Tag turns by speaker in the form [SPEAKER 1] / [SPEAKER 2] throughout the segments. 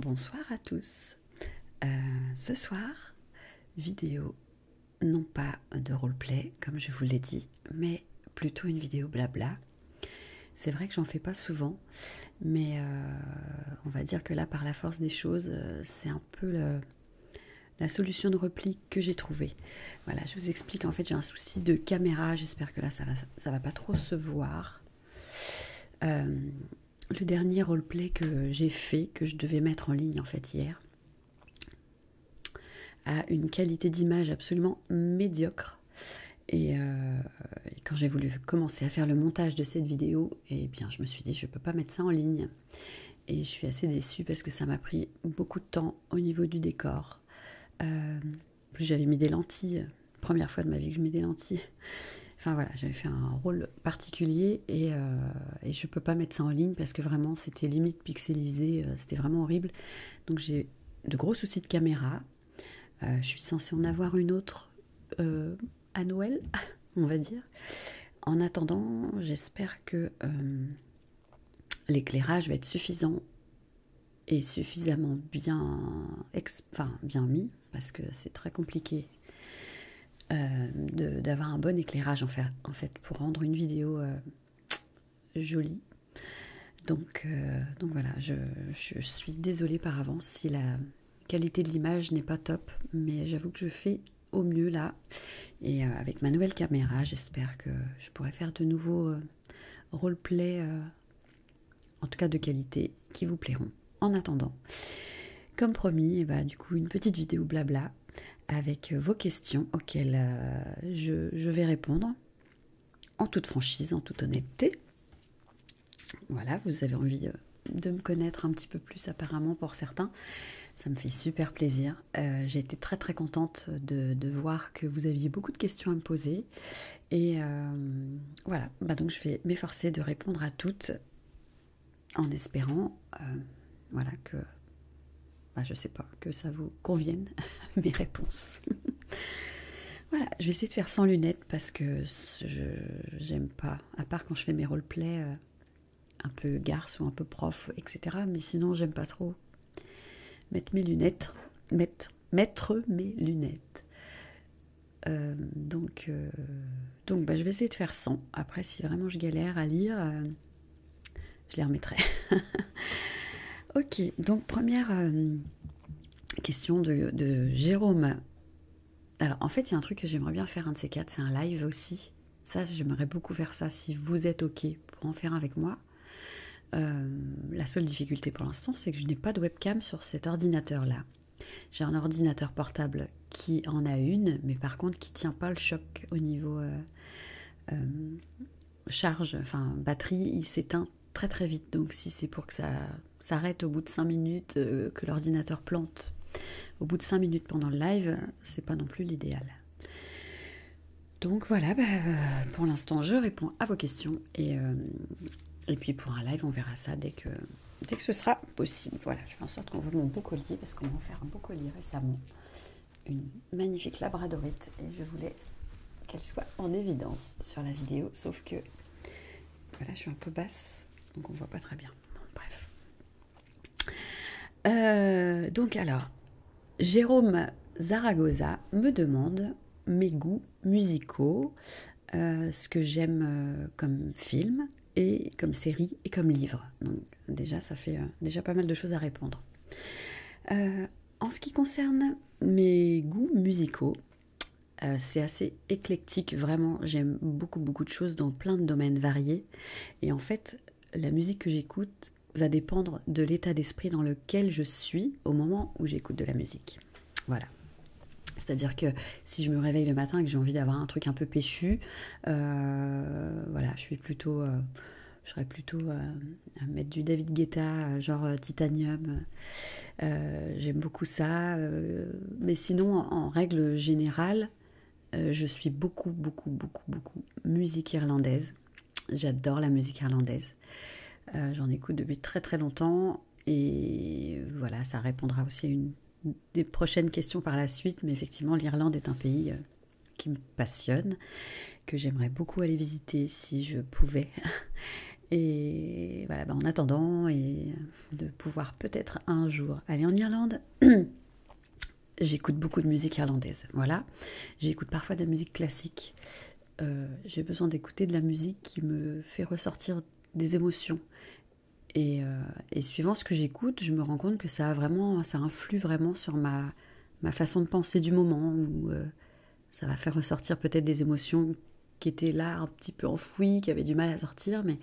[SPEAKER 1] Bonsoir à tous. Euh, ce soir, vidéo non pas de roleplay comme je vous l'ai dit, mais plutôt une vidéo blabla. C'est vrai que j'en fais pas souvent, mais euh, on va dire que là, par la force des choses, euh, c'est un peu la solution de repli que j'ai trouvée. Voilà, je vous explique. En fait, j'ai un souci de caméra. J'espère que là, ça va, ça va pas trop se voir le dernier roleplay que j'ai fait, que je devais mettre en ligne en fait hier, a une qualité d'image absolument médiocre. Et, euh, quand j'ai voulu commencer à faire le montage de cette vidéo, et eh bien, je me suis dit je ne peux pas mettre ça en ligne. Et je suis assez déçue parce que ça m'a pris beaucoup de temps au niveau du décor. Euh, j'avais mis des lentilles, Première fois de ma vie que je mets des lentilles. Enfin voilà, j'avais fait un rôle particulier et, je euh, ne je peux pas mettre ça en ligne parce que vraiment c'était limite pixelisé, euh, c'était vraiment horrible. Donc j'ai de gros soucis de caméra. Euh, je suis censée en avoir une autre à Noël, on va dire. En attendant, j'espère que l'éclairage va être suffisant et suffisamment bien enfin, bien mis, parce que c'est très compliqué euh, d'avoir un bon éclairage en fait, pour rendre une vidéo euh, jolie. Donc, euh, donc voilà, je, suis désolée par avance si la qualité de l'image n'est pas top, mais j'avoue que je fais au mieux là. Et avec ma nouvelle caméra, j'espère que je pourrai faire de nouveaux roleplays. roleplay en tout cas de qualité, qui vous plairont. En attendant, comme promis, et eh bah, ben, du coup, une petite vidéo blabla avec euh, vos questions auxquelles euh, je, vais répondre en toute franchise, en toute honnêteté. Voilà, vous avez envie euh, de me connaître un petit peu plus apparemment pour certains. Ça me fait super plaisir. J'ai été très très contente de voir que vous aviez beaucoup de questions à me poser et euh, voilà, bah, donc je vais m'efforcer de répondre à toutes en espérant euh, voilà, que, je bah, je sais pas, que ça vous convienne mes réponses. voilà, je vais essayer de faire sans lunettes parce que j'aime pas, à part quand je fais mes roleplays euh, un peu garce ou un peu prof, etc. Mais sinon, j'aime pas trop mettre mes lunettes, mettre, mettre mes lunettes. Euh, donc, euh, donc bah, je vais essayer de faire 100. Après, si vraiment je galère à lire, euh, je les remettrai. ok, donc première question de, Jérôme. Alors, en fait, il y a un truc que j'aimerais bien faire, un de ces quatre, c'est un live aussi. Ça, j'aimerais beaucoup faire ça si vous êtes OK pour en faire avec moi. la seule difficulté pour l'instant, c'est que je n'ai pas de webcam sur cet ordinateur-là. J'ai un ordinateur portable qui en a une, mais par contre qui tient pas le choc au niveau euh, euh, charge, enfin batterie, il s'éteint très très vite. Donc si c'est pour que ça s'arrête au bout de 5 minutes, euh, que l'ordinateur plante au bout de 5 minutes pendant le live, c'est pas non plus l'idéal. Donc voilà, bah, pour l'instant je réponds à vos questions et, et puis pour un live on verra ça dès que dès que ce sera possible. Voilà, je fais en sorte qu'on voit mon beau collier parce qu'on m'a offert un beau collier récemment. Une magnifique labradorite et je voulais qu'elle soit en évidence sur la vidéo, sauf que voilà, je suis un peu basse donc on voit pas très bien. bref, euh, donc alors Jérôme Zaragoza me demande mes goûts musicaux, euh, ce que j'aime euh, comme film et comme série et comme livre. Donc déjà, ça fait euh, déjà pas mal de choses à répondre. en ce qui concerne mes goûts musicaux, c'est assez éclectique, vraiment. J'aime beaucoup, beaucoup de choses dans plein de domaines variés. Et en fait, la musique que j'écoute va dépendre de l'état d'esprit dans lequel je suis au moment où j'écoute de la musique. Voilà. C'est-à-dire que si je me réveille le matin et que j'ai envie d'avoir un truc un peu péchu, euh, voilà, je suis plutôt, euh, je serais plutôt euh, mettre du David Guetta, genre Titanium. J'aime beaucoup ça. mais sinon, en, règle générale, je suis beaucoup, beaucoup, beaucoup, beaucoup musique irlandaise. J'adore la musique irlandaise. J'en écoute depuis très très longtemps. Et voilà, ça répondra aussi à une des prochaines questions par la suite. Mais effectivement, l'Irlande est un pays euh, qui me passionne, que j'aimerais beaucoup aller visiter si je pouvais. Et voilà, bah, en attendant, et euh, de pouvoir peut-être un jour aller en Irlande, j'écoute beaucoup de musique irlandaise. Voilà, j'écoute parfois de la musique classique. Euh, j'ai besoin d'écouter de la musique qui me fait ressortir des émotions euh, et, suivant ce que j'écoute, je me rends compte que ça a vraiment, ça influe vraiment sur ma, ma façon de penser du moment, où euh, ça va faire ressortir peut-être des émotions qui étaient là un petit peu enfouies, qui avaient du mal à sortir, mais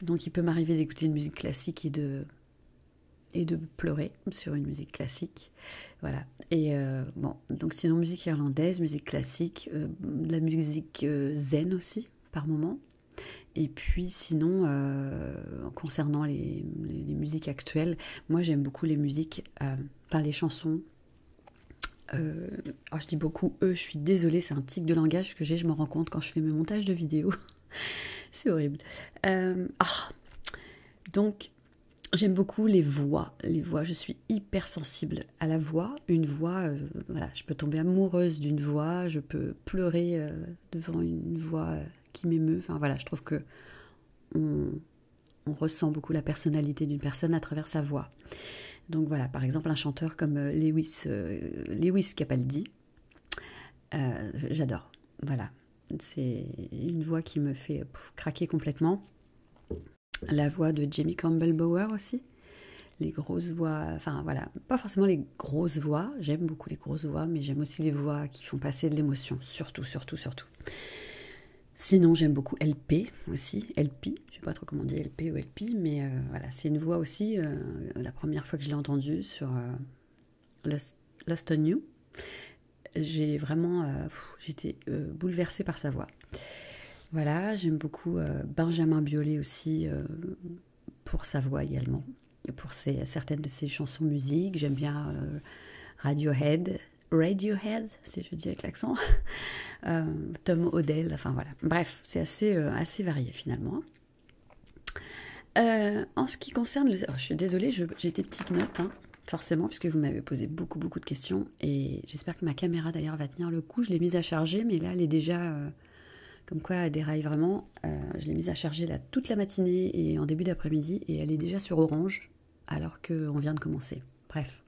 [SPEAKER 1] donc il peut m'arriver d'écouter une musique classique et de et de pleurer sur une musique classique. Voilà. Et euh, bon, donc sinon musique irlandaise, musique classique, de la musique zen aussi par moment. Et puis sinon, euh, concernant les, musiques actuelles, moi j'aime beaucoup les musiques, par euh, les chansons. Euh, oh, je dis beaucoup e je suis désolée, c'est un tic de langage que j'ai, je me rends compte quand je fais mes montages de vidéos. c'est horrible. Ah, donc j'aime beaucoup les voix, les voix, je suis hyper sensible à la voix, une voix, euh, voilà, je peux tomber amoureuse d'une voix, je peux pleurer euh, devant une voix euh, qui m'émeut. Enfin voilà, je trouve que on, ressent beaucoup la personnalité d'une personne à travers sa voix. Donc voilà, par exemple un chanteur comme Lewis, Lewis Capaldi, j'adore. Voilà, c'est une voix qui me fait craquer complètement la voix de Jamie Campbell Bower aussi. Les grosses voix, enfin voilà, pas forcément les grosses voix, j'aime beaucoup les grosses voix, mais j'aime aussi les voix qui font passer de l'émotion, surtout, surtout, surtout. Sinon, j'aime beaucoup LP aussi, LP, je sais pas trop comment on dit LP ou LP, mais euh, voilà, c'est une voix aussi, euh, la première fois que je l'ai entendue sur euh, Lost on You, j'ai vraiment, j'étais bouleversée par sa voix. Voilà, j'aime beaucoup euh, Benjamin Biolay aussi euh, pour sa voix également, pour certaines de ses chansons musique. J'aime bien euh, Radiohead, Radiohead si je dis avec l'accent, Tom Odell, enfin voilà. Bref, c'est assez, assez varié finalement. en ce qui concerne oh, je suis désolée, j'ai des petite notes, hein, forcément, puisque vous m'avez posé beaucoup, beaucoup de questions, et j'espère que ma caméra, d'ailleurs, va tenir le coup. Je l'ai mise à charger, mais là, elle est déjà, euh, comme quoi, elle déraille vraiment. Euh, je l'ai mise à charger là toute la matinée et en début d'après-midi, et elle est déjà sur orange, alors qu'on vient de commencer. Bref.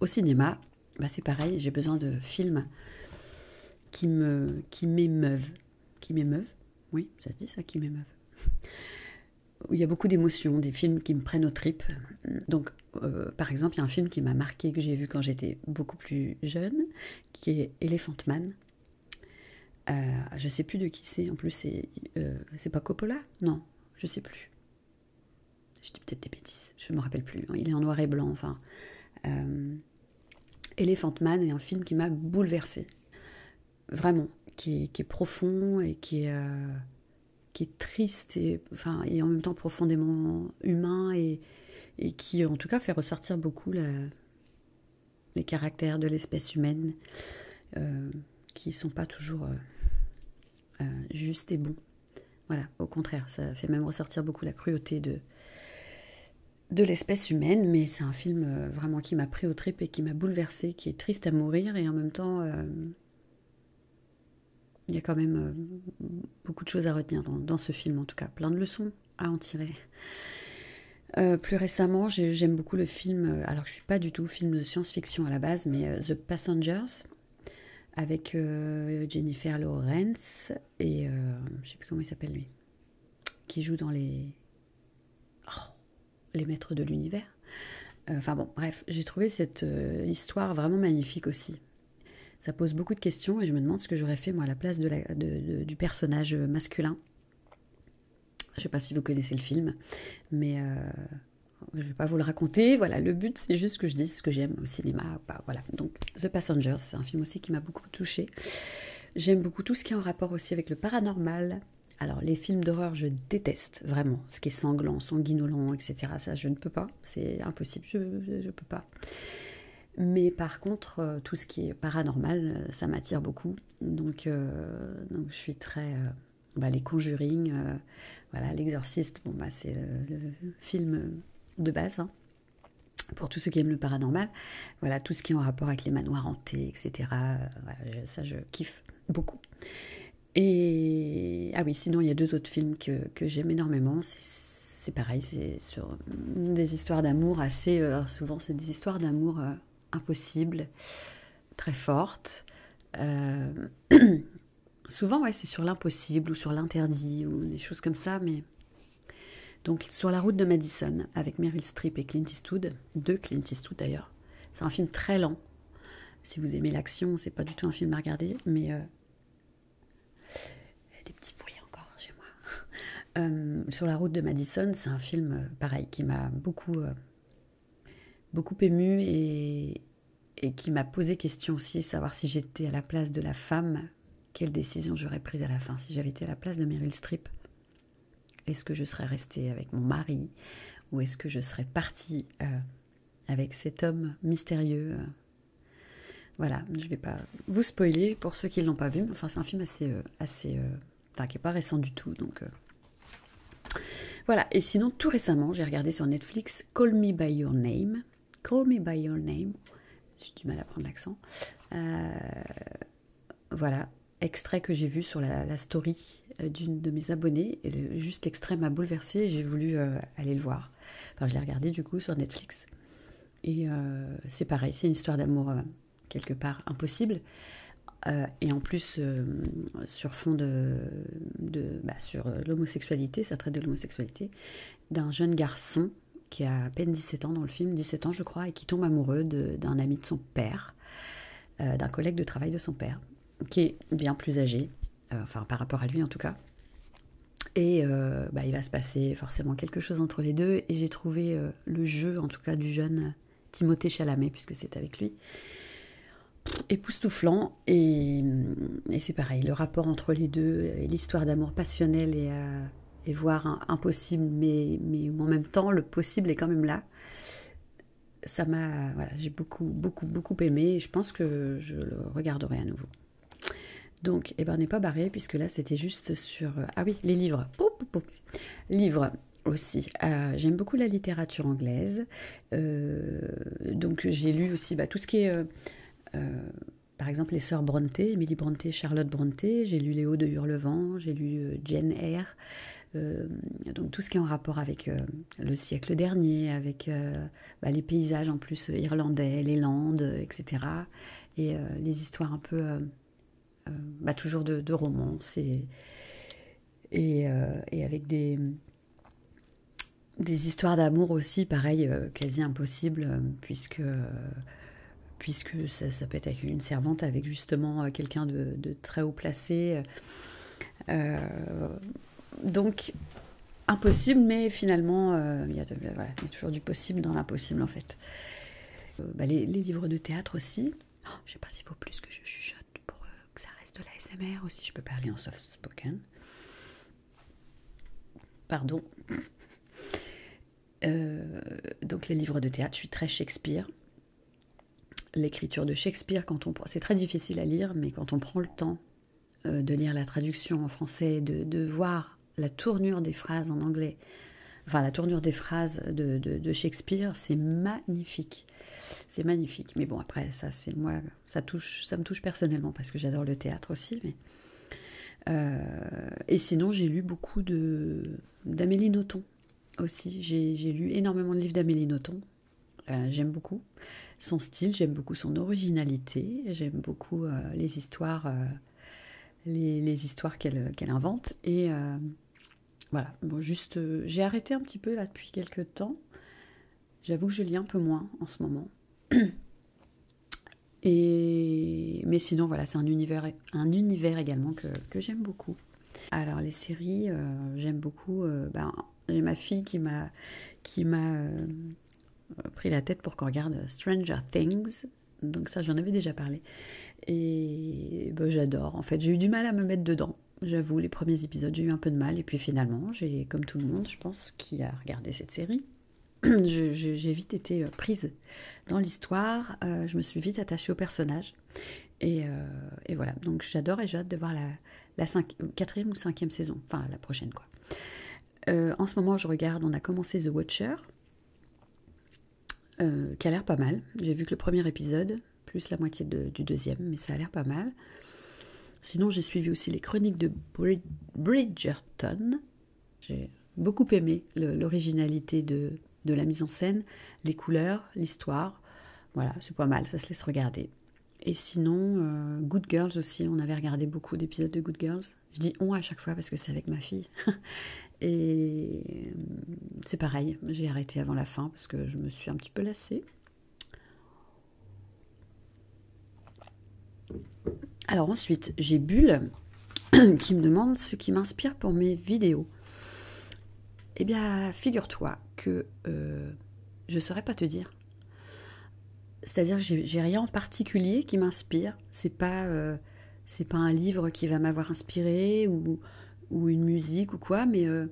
[SPEAKER 1] Au cinéma, bah c'est pareil, j'ai besoin de films qui me qui m'émeuvent. Qui m'émeuvent Oui, ça se dit ça, qui m'émeuvent il y a beaucoup d'émotions, des films qui me prennent aux tripes. Donc, euh, par exemple, il y a un film qui m'a marqué, que j'ai vu quand j'étais beaucoup plus jeune, qui est Elephant Man. Je euh, je sais plus de qui c'est, en plus, euh, c'est pas Coppola Non, je sais plus. Je dis peut-être des bêtises, je me rappelle plus. Hein. Il est en noir et blanc, enfin. Elephant Man est un film qui m'a bouleversée. Vraiment, qui est, profond et qui est, qui est triste et, enfin, et en même temps profondément humain et, qui en tout cas fait ressortir beaucoup les caractères de l'espèce humaine euh, qui ne sont pas toujours euh, euh, justes et bons. Voilà, au contraire, ça fait même ressortir beaucoup la cruauté de, de l'espèce humaine, mais c'est un film vraiment qui m'a pris au trip et qui m'a bouleversé, qui est triste à mourir et en même temps il y a quand même euh, beaucoup de choses à retenir dans, ce film, en tout cas, plein de leçons à en tirer. Euh, plus récemment, j'aime beaucoup le film, euh, alors je ne suis pas du tout film de science-fiction à la base, mais The Passengers, avec Jennifer Lawrence et je ne sais plus comment il s'appelle lui, qui joue dans les... Oh, les maîtres de l'univers. Euh, enfin bon, bref, j'ai trouvé cette euh, histoire vraiment magnifique aussi. Ça pose beaucoup de questions et je me demande ce que j'aurais fait moi à la place du personnage masculin. Je sais pas si vous connaissez le film, mais euh, je vais pas vous le raconter. Voilà, le but c'est juste que je dise ce que j'aime au cinéma. voilà, donc The Passengers c'est un film aussi qui m'a beaucoup touchée. J'aime beaucoup tout ce qui est en rapport aussi avec le paranormal, alors, les films d'horreur, je déteste vraiment ce qui est sanglant, sanguinolent, etc. Ça, je ne peux pas, c'est impossible, je ne peux pas. Mais par contre, euh, tout ce qui est paranormal, euh, ça m'attire beaucoup. Donc, euh, je suis très. Bah, les Conjuring, voilà, l'exorciste, bon, bah, c'est le, film de base. Hein. pour tous ceux qui aiment le paranormal, voilà, tout ce qui est en rapport avec les manoirs hantés, etc. ça, je kiffe beaucoup. Et ah oui, sinon il y a deux autres films que, j'aime énormément. C'est pareil, c'est sur des histoires d'amour assez. Euh, souvent, c'est des histoires d'amour euh, impossibles, très fortes. Euh, souvent, ouais, c'est sur l'impossible ou sur l'interdit ou des choses comme ça. Mais donc, sur la route de Madison avec Meryl Streep et Clint Eastwood, deux Clint Eastwood d'ailleurs. C'est un film très lent, si vous aimez l'action, c'est pas du tout un film à regarder, mais euh, des petits bruits encore chez moi. Euh, sur la route de Madison, c'est un film euh, pareil qui m'a beaucoup, beaucoup ému et, qui m'a posé question aussi, savoir si j'étais à la place de la femme, quelle décision j'aurais prise à la fin, si j'avais été à la place de Meryl Streep. Est-ce que je serais restée avec mon mari ou est-ce que je serais partie avec cet homme mystérieux. Voilà, je ne vais pas vous spoiler pour ceux qui ne l'ont pas vu. enfin, c'est un film assez, euh, assez, euh, qui pas récent du tout. Donc euh. voilà. Et sinon, tout récemment, j'ai regardé sur Netflix Call Me by Your Name. Call Me by Your Name. J'ai du mal à prendre l'accent. voilà, extrait que j'ai vu sur la story euh, d'une de mes abonnées. Et juste extrême m'a bouleversée. J'ai voulu euh, aller le voir. Enfin, je l'ai regardé du coup sur Netflix. Et euh, c'est pareil, c'est une histoire d'amour quelque part impossible. et en plus, sur fond de, bah, sur l'homosexualité, ça traite de l'homosexualité, d'un jeune garçon qui a à peine 17 ans dans le film, 17 ans je crois, et qui tombe amoureux d'un ami de son père, d'un collègue de travail de son père qui est bien plus âgé, euh, enfin par rapport à lui en tout cas. Et euh, bah, il va se passer forcément quelque chose entre les deux. Et j'ai trouvé euh, le jeu, en tout cas du jeune Timothée Chalamet, puisque c'est avec lui, époustouflant. Et, et c'est pareil, le rapport entre les deux, et l'histoire d'amour passionnel et, et voire impossible, mais, mais en même temps, le possible est quand même là ça m'a, voilà, j'ai beaucoup, beaucoup, beaucoup aimé. Et je pense que je le regarderai à nouveau. Donc, on eh ben, n'est pas barré puisque là, c'était juste sur. Ah oui, les livres. Livres aussi. Euh, j'aime beaucoup la littérature anglaise. Euh, donc, j'ai lu aussi bah, tout ce qui est. Euh, par exemple, les sœurs Bronte, Emily Bronte, Charlotte Bronte, j'ai lu Léo de Hurlevent, j'ai lu Jane Eyre, donc tout ce qui est en rapport avec le siècle dernier, avec euh, bah, les paysages en plus irlandais, les Landes, etc. Euh, et euh, les histoires un peu, bah, toujours de, romance et, avec des, des histoires d'amour aussi, pareil, quasi impossible, puisque, puisque ça, peut être avec une servante, avec justement quelqu'un de, très haut placé donc impossible, mais finalement, euh, il y, a toujours du possible dans l'impossible en fait. Euh, bah, les, livres de théâtre aussi. Oh, je ne sais pas s'il faut plus que je chuchote pour euh, que ça reste de l'ASMR aussi. aussi. je peux parler en soft spoken. Pardon. donc les livres de théâtre, je suis très Shakespeare l'écriture de Shakespeare, quand on c'est très difficile à lire, mais quand on prend le temps euh, de lire la traduction en français, de, voir la tournure des phrases en anglais, enfin la tournure des phrases de, Shakespeare, c'est magnifique, c'est magnifique. Mais bon, après ça, c'est moi, ça touche, ça me touche personnellement parce que j'adore le théâtre aussi, mais. Euh, et sinon, j'ai lu beaucoup de d'Amélie Nothomb aussi. J'ai lu énormément de livres d'Amélie Nothomb. Euh, j'aime beaucoup son style, j'aime beaucoup son originalité, j'aime beaucoup euh, les histoires, euh, les, histoires qu'elle invente. Et voilà, bon, juste, j'ai arrêté un petit peu là depuis quelques temps. J'avoue que je lis un peu moins en ce moment. Et mais sinon, voilà, c'est un univers, un univers également que, j'aime beaucoup. Alors les séries, j'aime beaucoup. Ben, j'ai ma fille qui m'a qui m'a euh, pris la tête pour qu'on regarde Stranger Things. Donc ça, j'en avais déjà parlé. Et ben, j'adore. En fait, j'ai eu du mal à me mettre dedans. J'avoue, les premiers épisodes, j'ai eu un peu de mal. Et puis finalement, j'ai, comme tout le monde, je pense, qui a regardé cette série, j'ai vite été euh, prise dans l'histoire. Euh, je me suis vite attachée au personnage. Et, et voilà. Donc j'adore et j'ai hâte de voir la, la quatrième ou cinquième saison, enfin la prochaine quoi. Euh, en ce moment, je regarde, on a commencé The Watcher, euh, qui a l'air pas mal. J'ai vu que le premier épisode, plus la moitié de, du deuxième, mais ça a l'air pas mal. Sinon, j'ai suivi aussi les chroniques de Bridgerton. J'ai beaucoup aimé l'originalité de, de la mise en scène, les couleurs, l'histoire. Voilà, c'est pas mal, ça se laisse regarder. Et sinon, euh, Good Girls aussi, on avait regardé beaucoup d'épisodes de Good Girls. Je dis on à chaque fois parce que c'est avec ma fille. Et euh, c'est pareil, j'ai arrêté avant la fin parce que je me suis un petit peu lassée. Alors ensuite, j'ai Bulle qui me demande ce qui m'inspire pour mes vidéos. Eh bien, figure-toi que euh, je ne saurais pas te dire. C'est-à-dire, j'ai rien en particulier qui m'inspire. C'est pas, euh, c'est pas un livre qui va m'avoir inspiré ou, ou, une musique ou quoi, mais euh,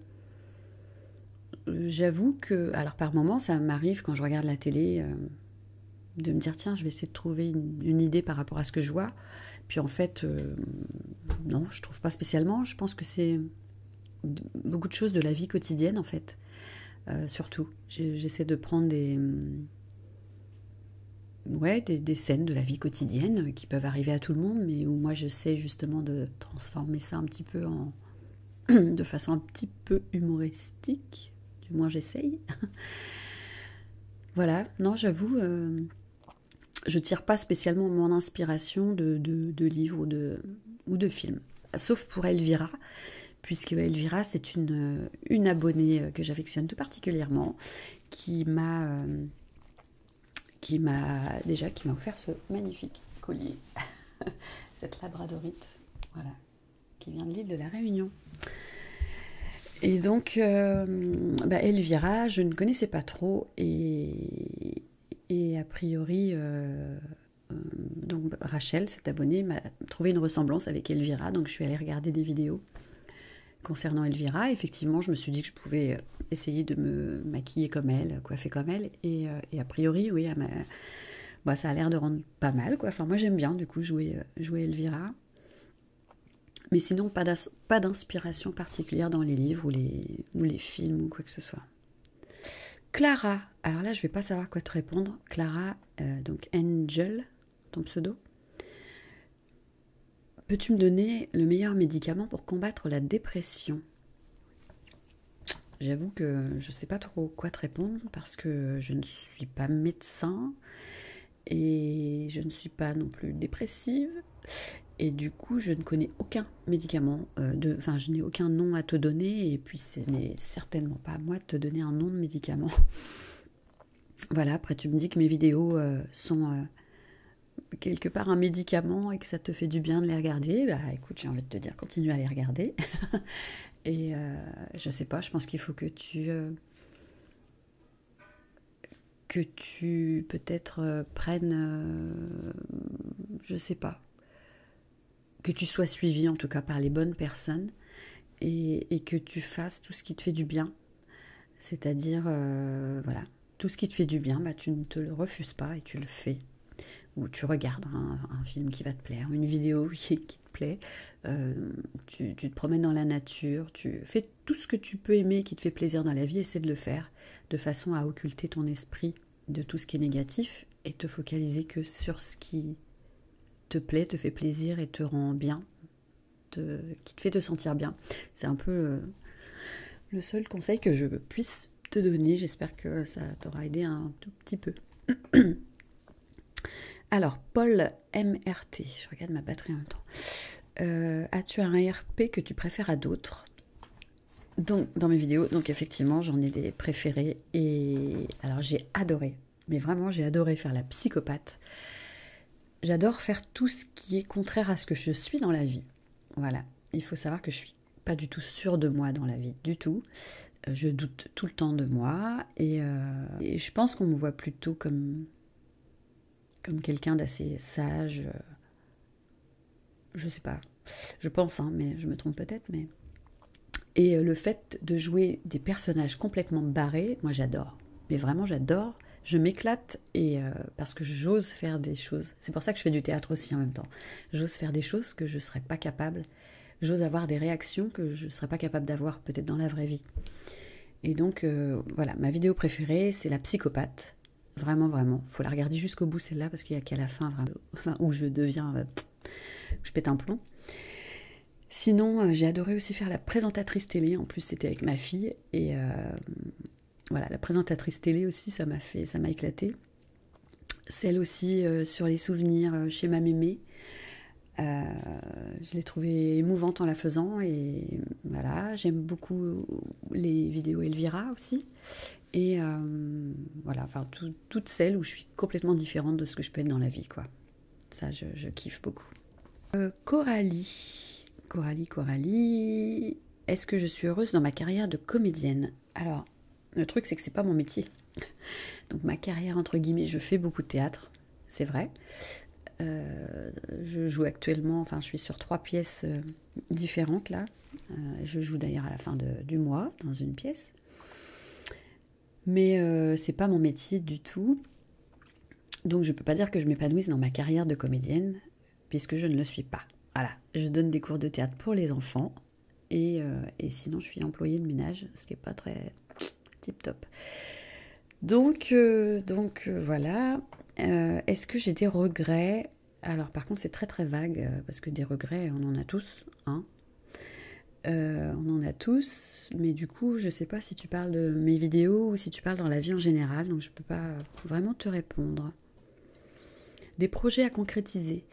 [SPEAKER 1] j'avoue que, alors par moments, ça m'arrive quand je regarde la télé de me dire tiens, je vais essayer de trouver une, idée par rapport à ce que je vois. Puis en fait, non, je trouve pas spécialement. Je pense que c'est beaucoup de choses de la vie quotidienne en fait. Euh, surtout, j'essaie de prendre des, mm, ouais, des, scènes de la vie quotidienne qui peuvent arriver à tout le monde, mais où moi je sais justement de transformer ça un petit peu en, de façon un petit peu humoristique. Du moins j'essaye. voilà, non j'avoue, je euh, je tire pas spécialement mon inspiration de, de livres de, ou de films. Sauf pour Elvira, puisque Elvira, c'est une, une abonnée euh, que j'affectionne tout particulièrement, qui m'a euh, qui m'a déjà qui m'a offert ce magnifique collier, cette labradorite, voilà, qui vient de l'île de la Réunion. Et donc, euh, bah, Elvira, je ne connaissais pas trop et, et a priori, euh, euh, donc Rachel, cette abonnée, m'a trouvé une ressemblance avec Elvira, donc je suis allée regarder des vidéos concernant Elvira. Effectivement, je me suis dit que je pouvais euh, essayer de me maquiller comme elle, coiffer comme elle, et, a priori, oui, moi, bah, ça a l'air de rendre pas mal, quoi. moi, j'aime bien, du coup, jouer, jouer Elvira. Mais sinon, pas d'inspiration particulière dans les livres ou les films ou quoi que ce soit. Clara, alors là je vais pas savoir quoi te répondre. Clara, euh, donc Angel, ton pseudo. Peux-tu me donner le meilleur médicament pour combattre la dépression J'avoue que je ne sais pas trop quoi te répondre parce que je ne suis pas médecin et je ne suis pas non plus dépressive et du coup, je ne connais aucun médicament, euh, enfin, je n'ai aucun nom à te donner, et puis ce n'est certainement pas à moi de te donner un nom de médicament. voilà, après, tu me dis que mes vidéos euh, sont euh, quelque part un médicament et que ça te fait du bien de les regarder. Bah écoute, j'ai envie de te dire, continue à les regarder. et je ne sais pas, je pense qu'il faut que tu. que tu peut-être prennes, Je ne sais pas, que tu sois suivi en tout cas par les bonnes personnes et, que tu fasses tout ce qui te fait du bien. C'est-à-dire, euh, voilà, tout ce qui te fait du bien, bah, tu ne te le refuses pas et tu le fais. Ou tu regardes un, film qui va te plaire, une vidéo qui, te plaît, euh, tu, tu te promènes dans la nature, tu fais tout ce que tu peux aimer qui te fait plaisir dans la vie, essaie de le faire de façon à occulter ton esprit de tout ce qui est négatif et te focaliser que sur ce qui te plaît, te fait plaisir et te rend bien, qui te fait te sentir bien. C'est un peu euh, le seul conseil que je puisse te donner. J'espère que ça t'aura aidé un tout petit peu. Alors, Paul MRT, je regarde ma batterie en même temps. Euh, as-tu un RP que tu préfères à d'autres donc dans mes vidéos. Donc effectivement, j'en ai des préférées Et alors j'ai adoré, mais vraiment j'ai adoré faire la psychopathe. J'adore faire tout ce qui est contraire à ce que je suis dans la vie. Voilà, il faut savoir que je suis pas du tout sûre de moi dans la vie, du tout. Euh, je doute tout le temps de moi euh, et je pense qu'on me voit plutôt comme, comme quelqu'un d'assez sage, euh, je sais pas, je pense, hein, mais je me trompe peut-être, mais. Et euh, le fait de jouer des personnages complètement barrés, moi j'adore. Mais vraiment j'adore. Je m'éclate et euh, parce que j'ose faire des choses. C'est pour ça que je fais du théâtre aussi en même temps. J'ose faire des choses que je ne serais pas capable. J'ose avoir des réactions que je ne serais pas capable d'avoir peut-être dans la vraie vie. Et donc euh, voilà, ma vidéo préférée, c'est la psychopathe. Vraiment, vraiment. Faut la regarder jusqu'au bout celle-là parce qu'il n'y a qu'à la fin où je deviens, euh, je pète un plomb. Sinon, euh, j'ai adoré aussi faire la présentatrice télé. En plus, c'était avec ma fille et euh, voilà, la présentatrice télé aussi, ça m'a fait, ça m'a éclaté. Celle aussi sur les souvenirs chez ma mémé. je l'ai trouvée émouvante en la faisant et voilà, j'aime beaucoup les vidéos Elvira aussi et euh, voilà, enfin, toutes celles où je suis complètement différente de ce que je peux être dans la vie, quoi. Ça, je, kiffe beaucoup. Euh, Coralie, Coralie, Coralie, est-ce que je suis heureuse dans ma carrière de comédienne Alors, le truc, c'est que c'est pas mon métier. Donc, ma carrière, entre guillemets, je fais beaucoup de théâtre, c'est vrai. Euh, je joue actuellement, enfin, je suis sur trois pièces différentes là. Euh, je joue d'ailleurs à la fin du mois dans une pièce. Mais euh, c'est pas mon métier du tout. Donc je peux pas dire que je m'épanouisse dans ma carrière de comédienne puisque je ne le suis pas. Voilà, je donne des cours de théâtre pour les enfants et, euh, sinon je suis employée de ménage, ce qui est pas très tip top. Donc, donc voilà. Est-ce que j'ai des regrets alors par contre c'est très très vague euh, parce que des regrets on en a tous, hein. Euh, on en a tous, mais du coup je ne sais pas si tu parles de mes vidéos ou si tu parles dans la vie en général, donc je ne peux pas vraiment te répondre. Des projets à concrétiser.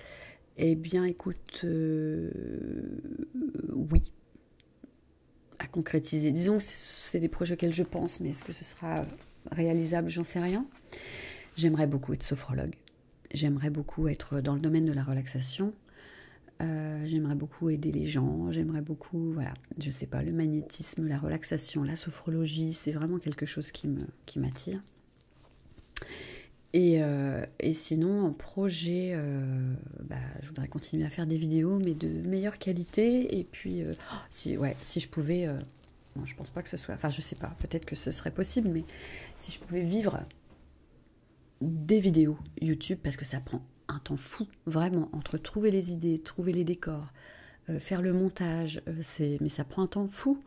[SPEAKER 1] Eh bien écoute, euh, oui, à concrétiser. Disons que c'est des projets auxquels je pense, mais est-ce que ce sera réalisable J'en sais rien. J'aimerais beaucoup être sophrologue. J'aimerais beaucoup être dans le domaine de la relaxation. Euh, j'aimerais beaucoup aider les gens. J'aimerais beaucoup, voilà, je sais pas, le magnétisme, la relaxation, la sophrologie, c'est vraiment quelque chose qui m'attire. Euh, et, sinon, en projet, euh, bah, je voudrais continuer à faire des vidéos, mais de meilleure qualité. Et puis, oh, si, je pouvais je je pense pas que ce soit. Enfin, je sais pas. Peut-être que ce serait possible, mais si je pouvais vivre des vidéos YouTube, parce que ça prend un temps fou, vraiment, entre trouver les idées, trouver les décors, euh, faire le montage, euh, c'est. Mais ça prend un temps fou.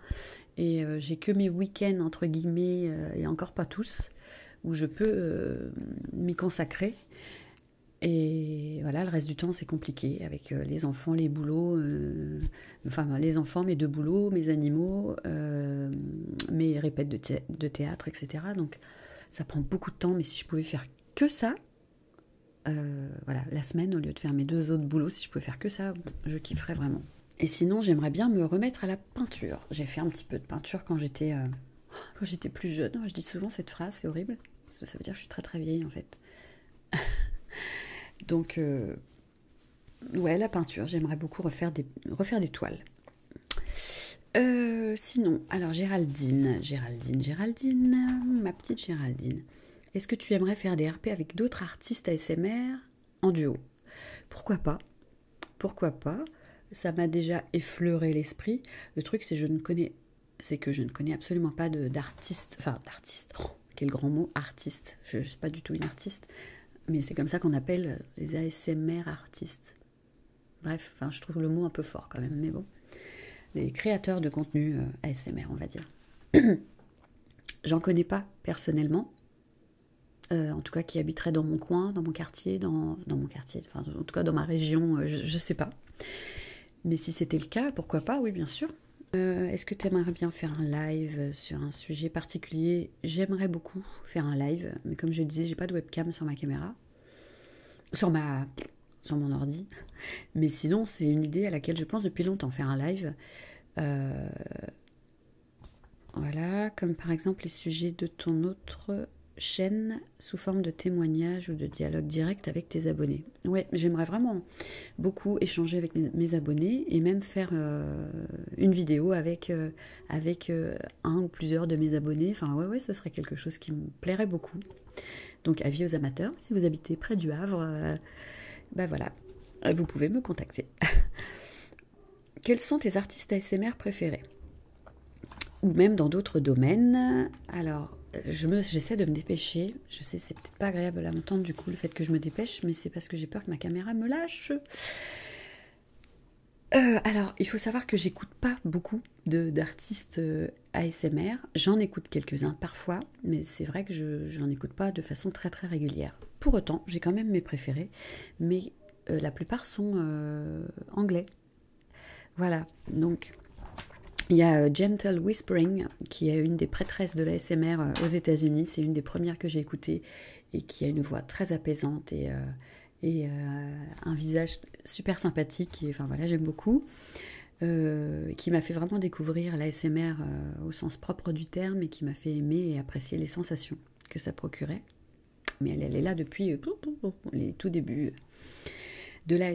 [SPEAKER 1] Et euh, j'ai que mes week-ends entre guillemets, et encore pas tous, où je peux m'y consacrer. Et voilà, le reste du temps, c'est compliqué avec les enfants, les boulots, enfin les enfants, mes deux boulots, mes animaux, euh, mes répètes de, de théâtre, etc. Donc ça prend beaucoup de temps, mais si je pouvais faire que ça, euh, voilà, la semaine, au lieu de faire mes deux autres boulots, si je pouvais faire que ça, je kifferais vraiment. Et sinon, j'aimerais bien me remettre à la peinture. J'ai fait un petit peu de peinture quand j'étais euh, quand j'étais plus jeune. Je dis souvent cette phrase, c'est horrible, parce que ça veut dire que je suis très très vieille en fait. Donc, ouais, la peinture, j'aimerais beaucoup refaire des, toiles. Euh, sinon, alors Géraldine, Géraldine, Géraldine, ma petite Géraldine, est-ce que tu aimerais faire des RP avec d'autres artistes ASMR en duo Pourquoi pas Pourquoi pas Ça m'a déjà effleuré l'esprit. Le truc, c'est je ne connais, c'est que je ne connais absolument pas d'artistes, enfin d'artistes, oh, quel grand mot, artiste. Je ne suis pas du tout une artiste, mais c'est comme ça qu'on appelle les ASMR artistes. Bref, enfin, je trouve le mot un peu fort quand même, mais bon. Les créateurs de contenu euh, ASMR, on va dire. J'en connais pas personnellement, euh, en tout cas qui habiterait dans mon coin, dans mon quartier, dans, mon quartier, enfin, en tout cas dans ma région, euh, je ne sais pas. Mais si c'était le cas, pourquoi pas, oui, bien sûr. Euh, est-ce que tu aimerais bien faire un live sur un sujet particulier J'aimerais beaucoup faire un live, mais comme je disais, j'ai pas de webcam sur ma caméra, sur ma, sur mon ordi. Mais sinon, c'est une idée à laquelle je pense depuis longtemps faire un live. Euh, voilà, comme par exemple les sujets de ton autre chaîne sous forme de témoignage ou de dialogue direct avec tes abonnés. Ouais, j'aimerais vraiment beaucoup échanger avec mes abonnés et même faire euh, une vidéo avec, euh, euh, un ou plusieurs de mes abonnés. Enfin, ouais, ce serait quelque chose qui me plairait beaucoup. Donc, avis aux amateurs, si vous habitez près du Havre, bah voilà, vous pouvez me contacter. Quels sont tes artistes ASMR préférés Ou même dans d'autres domaines Alors, j'essaie de me dépêcher. Je sais, c'est pas agréable à m'entendre du coup le fait que je me dépêche, mais c'est parce que j'ai peur que ma caméra me lâche. Euh, alors, il faut savoir que j'écoute pas beaucoup d'artistes euh, ASMR. J'en écoute quelques-uns parfois, mais c'est vrai que je n'en écoute pas de façon très très régulière. Pour autant, j'ai quand même mes préférés, mais euh, la plupart sont anglais. Voilà, donc il y a Gentle Whispering qui est une des prêtresses de la euh, aux États-Unis. C'est une des premières que j'ai écoutées et qui a une voix très apaisante et, euh, euh, un visage super sympathique. enfin voilà, j'aime beaucoup. qui m'a fait vraiment découvrir la au sens propre du terme et qui m'a fait aimer et apprécier les sensations que ça procurait. Mais elle, est là depuis les tout débuts de la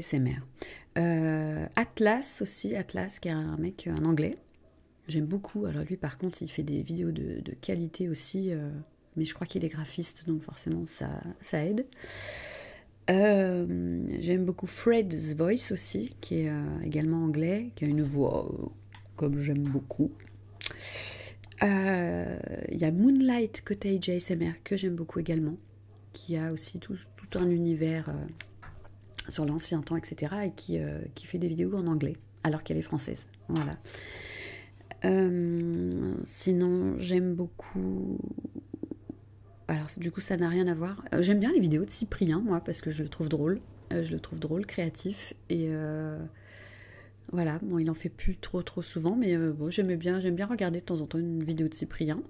[SPEAKER 1] Atlas aussi, Atlas qui est un mec, en anglais, J'aime beaucoup. Alors lui par contre il fait des vidéos de, qualité aussi. Euh, mais je crois qu'il est graphiste donc forcément ça, aide. Euh, j'aime beaucoup Fred's Voice aussi, qui est euh, également anglais, qui a une voix comme j'aime beaucoup. Il y a Moonlight côté ASMR que j'aime beaucoup également, qui a aussi tout un univers sur l'ancien temps, etc., et euh, qui, fait des vidéos en anglais, alors qu'elle est française. Voilà. Euh, sinon, j'aime beaucoup. Alors, du coup, ça n'a rien à voir. Euh, j'aime bien les vidéos de Cyprien, moi, parce que je le trouve drôle. je le trouve drôle, créatif. Et voilà, bon, il en fait plus trop, trop souvent, mais bon, bien, j'aime bien regarder de temps en temps une vidéo de Cyprien.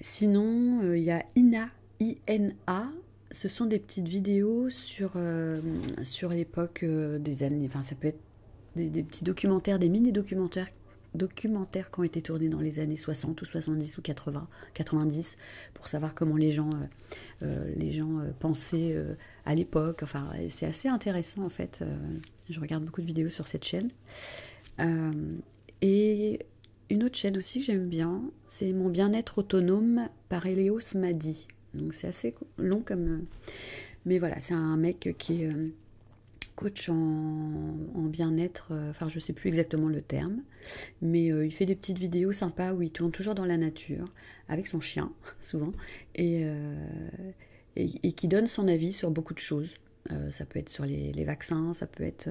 [SPEAKER 1] Sinon, il y a Ina, I-N-A, ce sont des petites vidéos sur, euh, sur l'époque euh, des années. Enfin, ça peut être des, petits documentaires, des mini-documentaires documentaires qui ont été tournés dans les années 60 ou 70 ou 80, 90 pour savoir comment les gens, euh, les gens pensaient à l'époque. Enfin, c'est assez intéressant en fait. je regarde beaucoup de vidéos sur cette chaîne. et une autre chaîne aussi que j'aime bien, c'est Mon bien-être autonome par Elios Madi. Donc c'est assez long comme... Euh, mais voilà, c'est un mec qui est euh, coach en, bien-être, euh, enfin je sais plus exactement le terme, mais il fait des petites vidéos sympas où il tourne toujours dans la nature, avec son chien souvent, et, qui donne son avis sur beaucoup de choses. ça peut être sur les, vaccins, ça peut être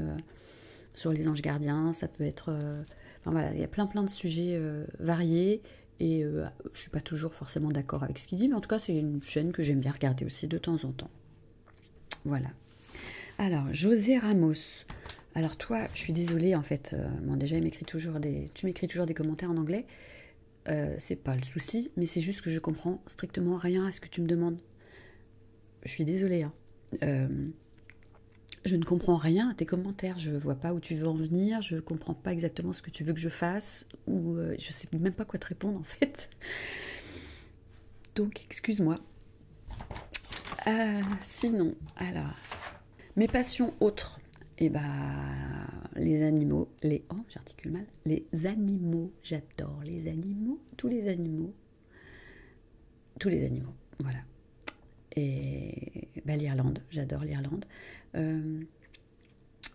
[SPEAKER 1] sur les anges gardiens, ça peut être... Euh, enfin voilà, il y a plein plein de sujets euh, variés et euh, je suis pas toujours forcément d'accord avec ce qu'il dit, mais en tout cas c'est une chaîne que j'aime bien regarder aussi de temps en temps. Voilà. Alors, José Ramos. Alors toi, je suis désolée en fait, déjà toujours des... tu m'écris toujours des commentaires en anglais, Ce c'est pas le souci, mais c'est juste que je comprends strictement rien à ce que tu me demandes. Je suis désolée. Hein. Euh, je ne comprends rien à tes commentaires, je ne vois pas où tu veux en venir, je ne comprends pas exactement ce que tu veux que je fasse, ou euh, je sais même pas quoi te répondre en fait. Donc excuse-moi. Euh, sinon, alors, mes passions autres, eh bah les animaux, les oh j'articule mal, les animaux, j'adore les animaux, tous les animaux, tous les animaux, voilà. Et bah, l'Irlande, j'adore l'Irlande. Euh,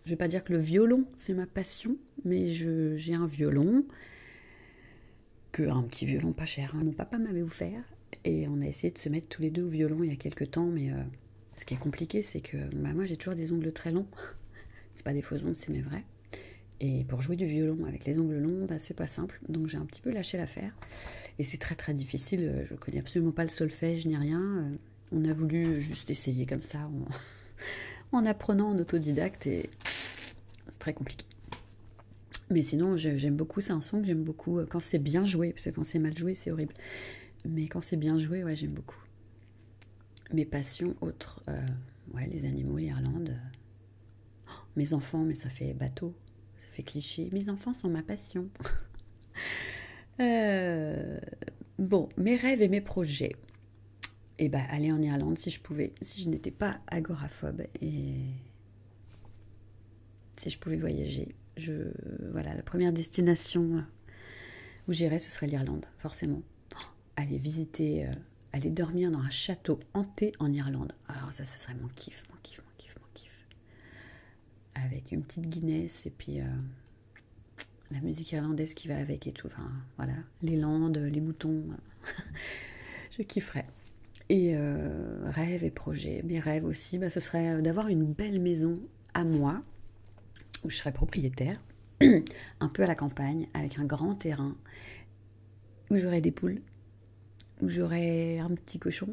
[SPEAKER 1] je ne vais pas dire que le violon, c'est ma passion, mais j'ai un violon, que un petit violon pas cher. Hein. Mon papa m'avait offert et on a essayé de se mettre tous les deux au violon il y a quelque temps, mais euh, ce qui est compliqué, c'est que bah, moi j'ai toujours des ongles très longs. c'est pas des faux ongles, c'est mes vrais. Et pour jouer du violon avec les ongles longs, bah, c'est pas simple donc j'ai un petit peu lâché l'affaire. Et c'est très très difficile, je ne connais absolument pas le solfège ni rien. Euh, on a voulu juste essayer comme ça en, apprenant en autodidacte et c'est très compliqué. Mais sinon, j'aime beaucoup, c'est un son que j'aime beaucoup quand c'est bien joué, parce que quand c'est mal joué, c'est horrible. Mais quand c'est bien joué, ouais, j'aime beaucoup. Mes passions autres, euh, les animaux, l'Irlande, mes enfants, mais ça fait bateau, ça fait cliché. Mes enfants sont ma passion. Euh, bon, mes rêves et mes projets. Et eh ben, aller en Irlande si je pouvais, si je n'étais pas agoraphobe et si je pouvais voyager. Je, voilà, la première destination où j'irais, ce serait l'Irlande, forcément. Oh, aller visiter, euh, aller dormir dans un château hanté en Irlande. Alors ça, ça serait mon kiff, mon kiff. Avec une petite Guinness et puis euh, la musique irlandaise qui va avec et tout. voilà, les landes, les moutons. je kifferais. Et euh, rêve et projet. Mes rêves aussi, bah, ce serait euh, d'avoir une belle maison à moi, où je serais propriétaire, un peu à la campagne, avec un grand terrain, où j'aurais des poules où j'aurai un petit cochon.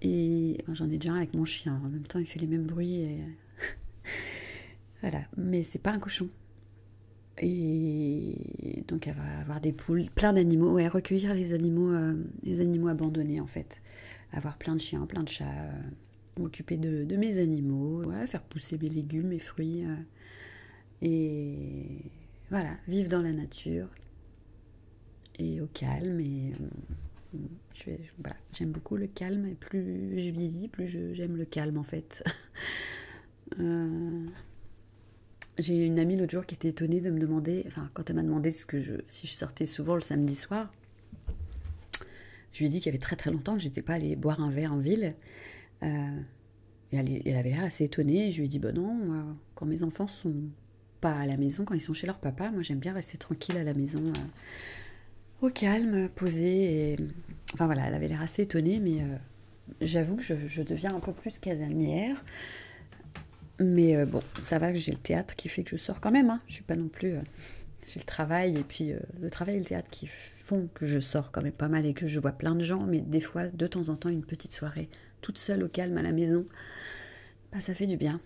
[SPEAKER 1] Et oh, j'en ai déjà un avec mon chien. En même temps, il fait les mêmes bruits. Et... voilà. Mais c'est pas un cochon. Et donc, elle avoir des poules, plein d'animaux. recueillir les animaux, euh, les animaux abandonnés, en fait. Avoir plein de chiens, plein de chats. Euh, m'occuper de, mes animaux. faire pousser mes légumes, mes fruits. Euh, et voilà, vivre dans la nature et au calme. Et euh, j'aime beaucoup le calme. Et plus je vieillis, plus j'aime le calme en fait. Euh, j'ai une amie l'autre jour qui était étonnée de me demander, enfin quand elle m'a demandé si je sortais souvent le samedi soir, je lui ai dit qu'il y avait très très longtemps que je n'étais pas allée boire un verre en ville. Euh, elle, avait l'air assez étonnée. je lui ai dit, bon bah non, quand mes enfants sont pas à la maison, quand ils sont chez leur papa, moi j'aime bien rester tranquille à la maison, euh, au calme, posée. Et... Enfin voilà, elle avait l'air assez étonnée, mais euh, j'avoue que je, deviens un peu plus casanière. Mais euh, bon, ça va que j'ai le théâtre qui fait que je sors quand même. Hein. Je suis pas non plus. j'ai le travail et puis le travail et le théâtre qui font que je sors quand même pas mal et que je vois plein de gens, mais des fois, de temps en temps, une petite soirée toute seule au calme à la maison, bah, ça fait du bien.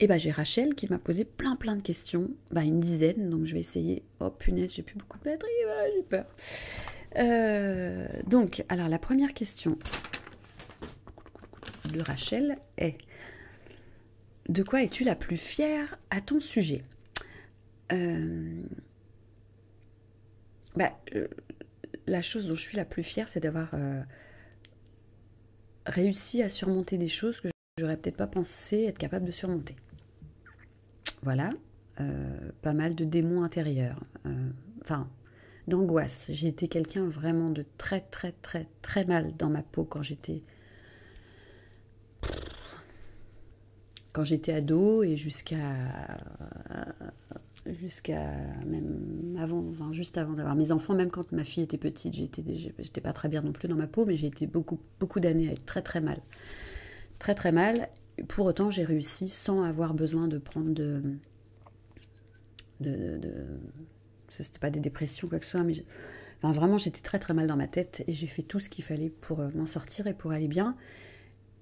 [SPEAKER 1] Et bah j'ai Rachel qui m'a posé plein plein de questions, bah, une dizaine, donc je vais essayer. Oh punaise, j'ai plus beaucoup de batterie, j'ai peur. Euh, donc, alors la première question de Rachel est De quoi es-tu la plus fière à ton sujet euh, bah, euh, la chose dont je suis la plus fière, c'est d'avoir euh, réussi à surmonter des choses que j'aurais peut-être pas pensé être capable de surmonter. Voilà, euh, pas mal de démons intérieurs, enfin d'angoisse. J'ai été quelqu'un vraiment de très très très très mal dans ma peau quand j'étais quand j'étais ado et jusqu'à jusqu'à avant juste avant d'avoir mes enfants même quand ma fille était petite j'étais j'étais pas très bien non plus dans ma peau mais j'ai été beaucoup beaucoup d'années à être très très mal très très mal pour autant j'ai réussi sans avoir besoin de prendre de de, c'était pas des dépressions quoi que ce soit mais vraiment j'étais très très mal dans ma tête et j'ai fait tout ce qu'il fallait pour euh, m'en sortir et pour aller bien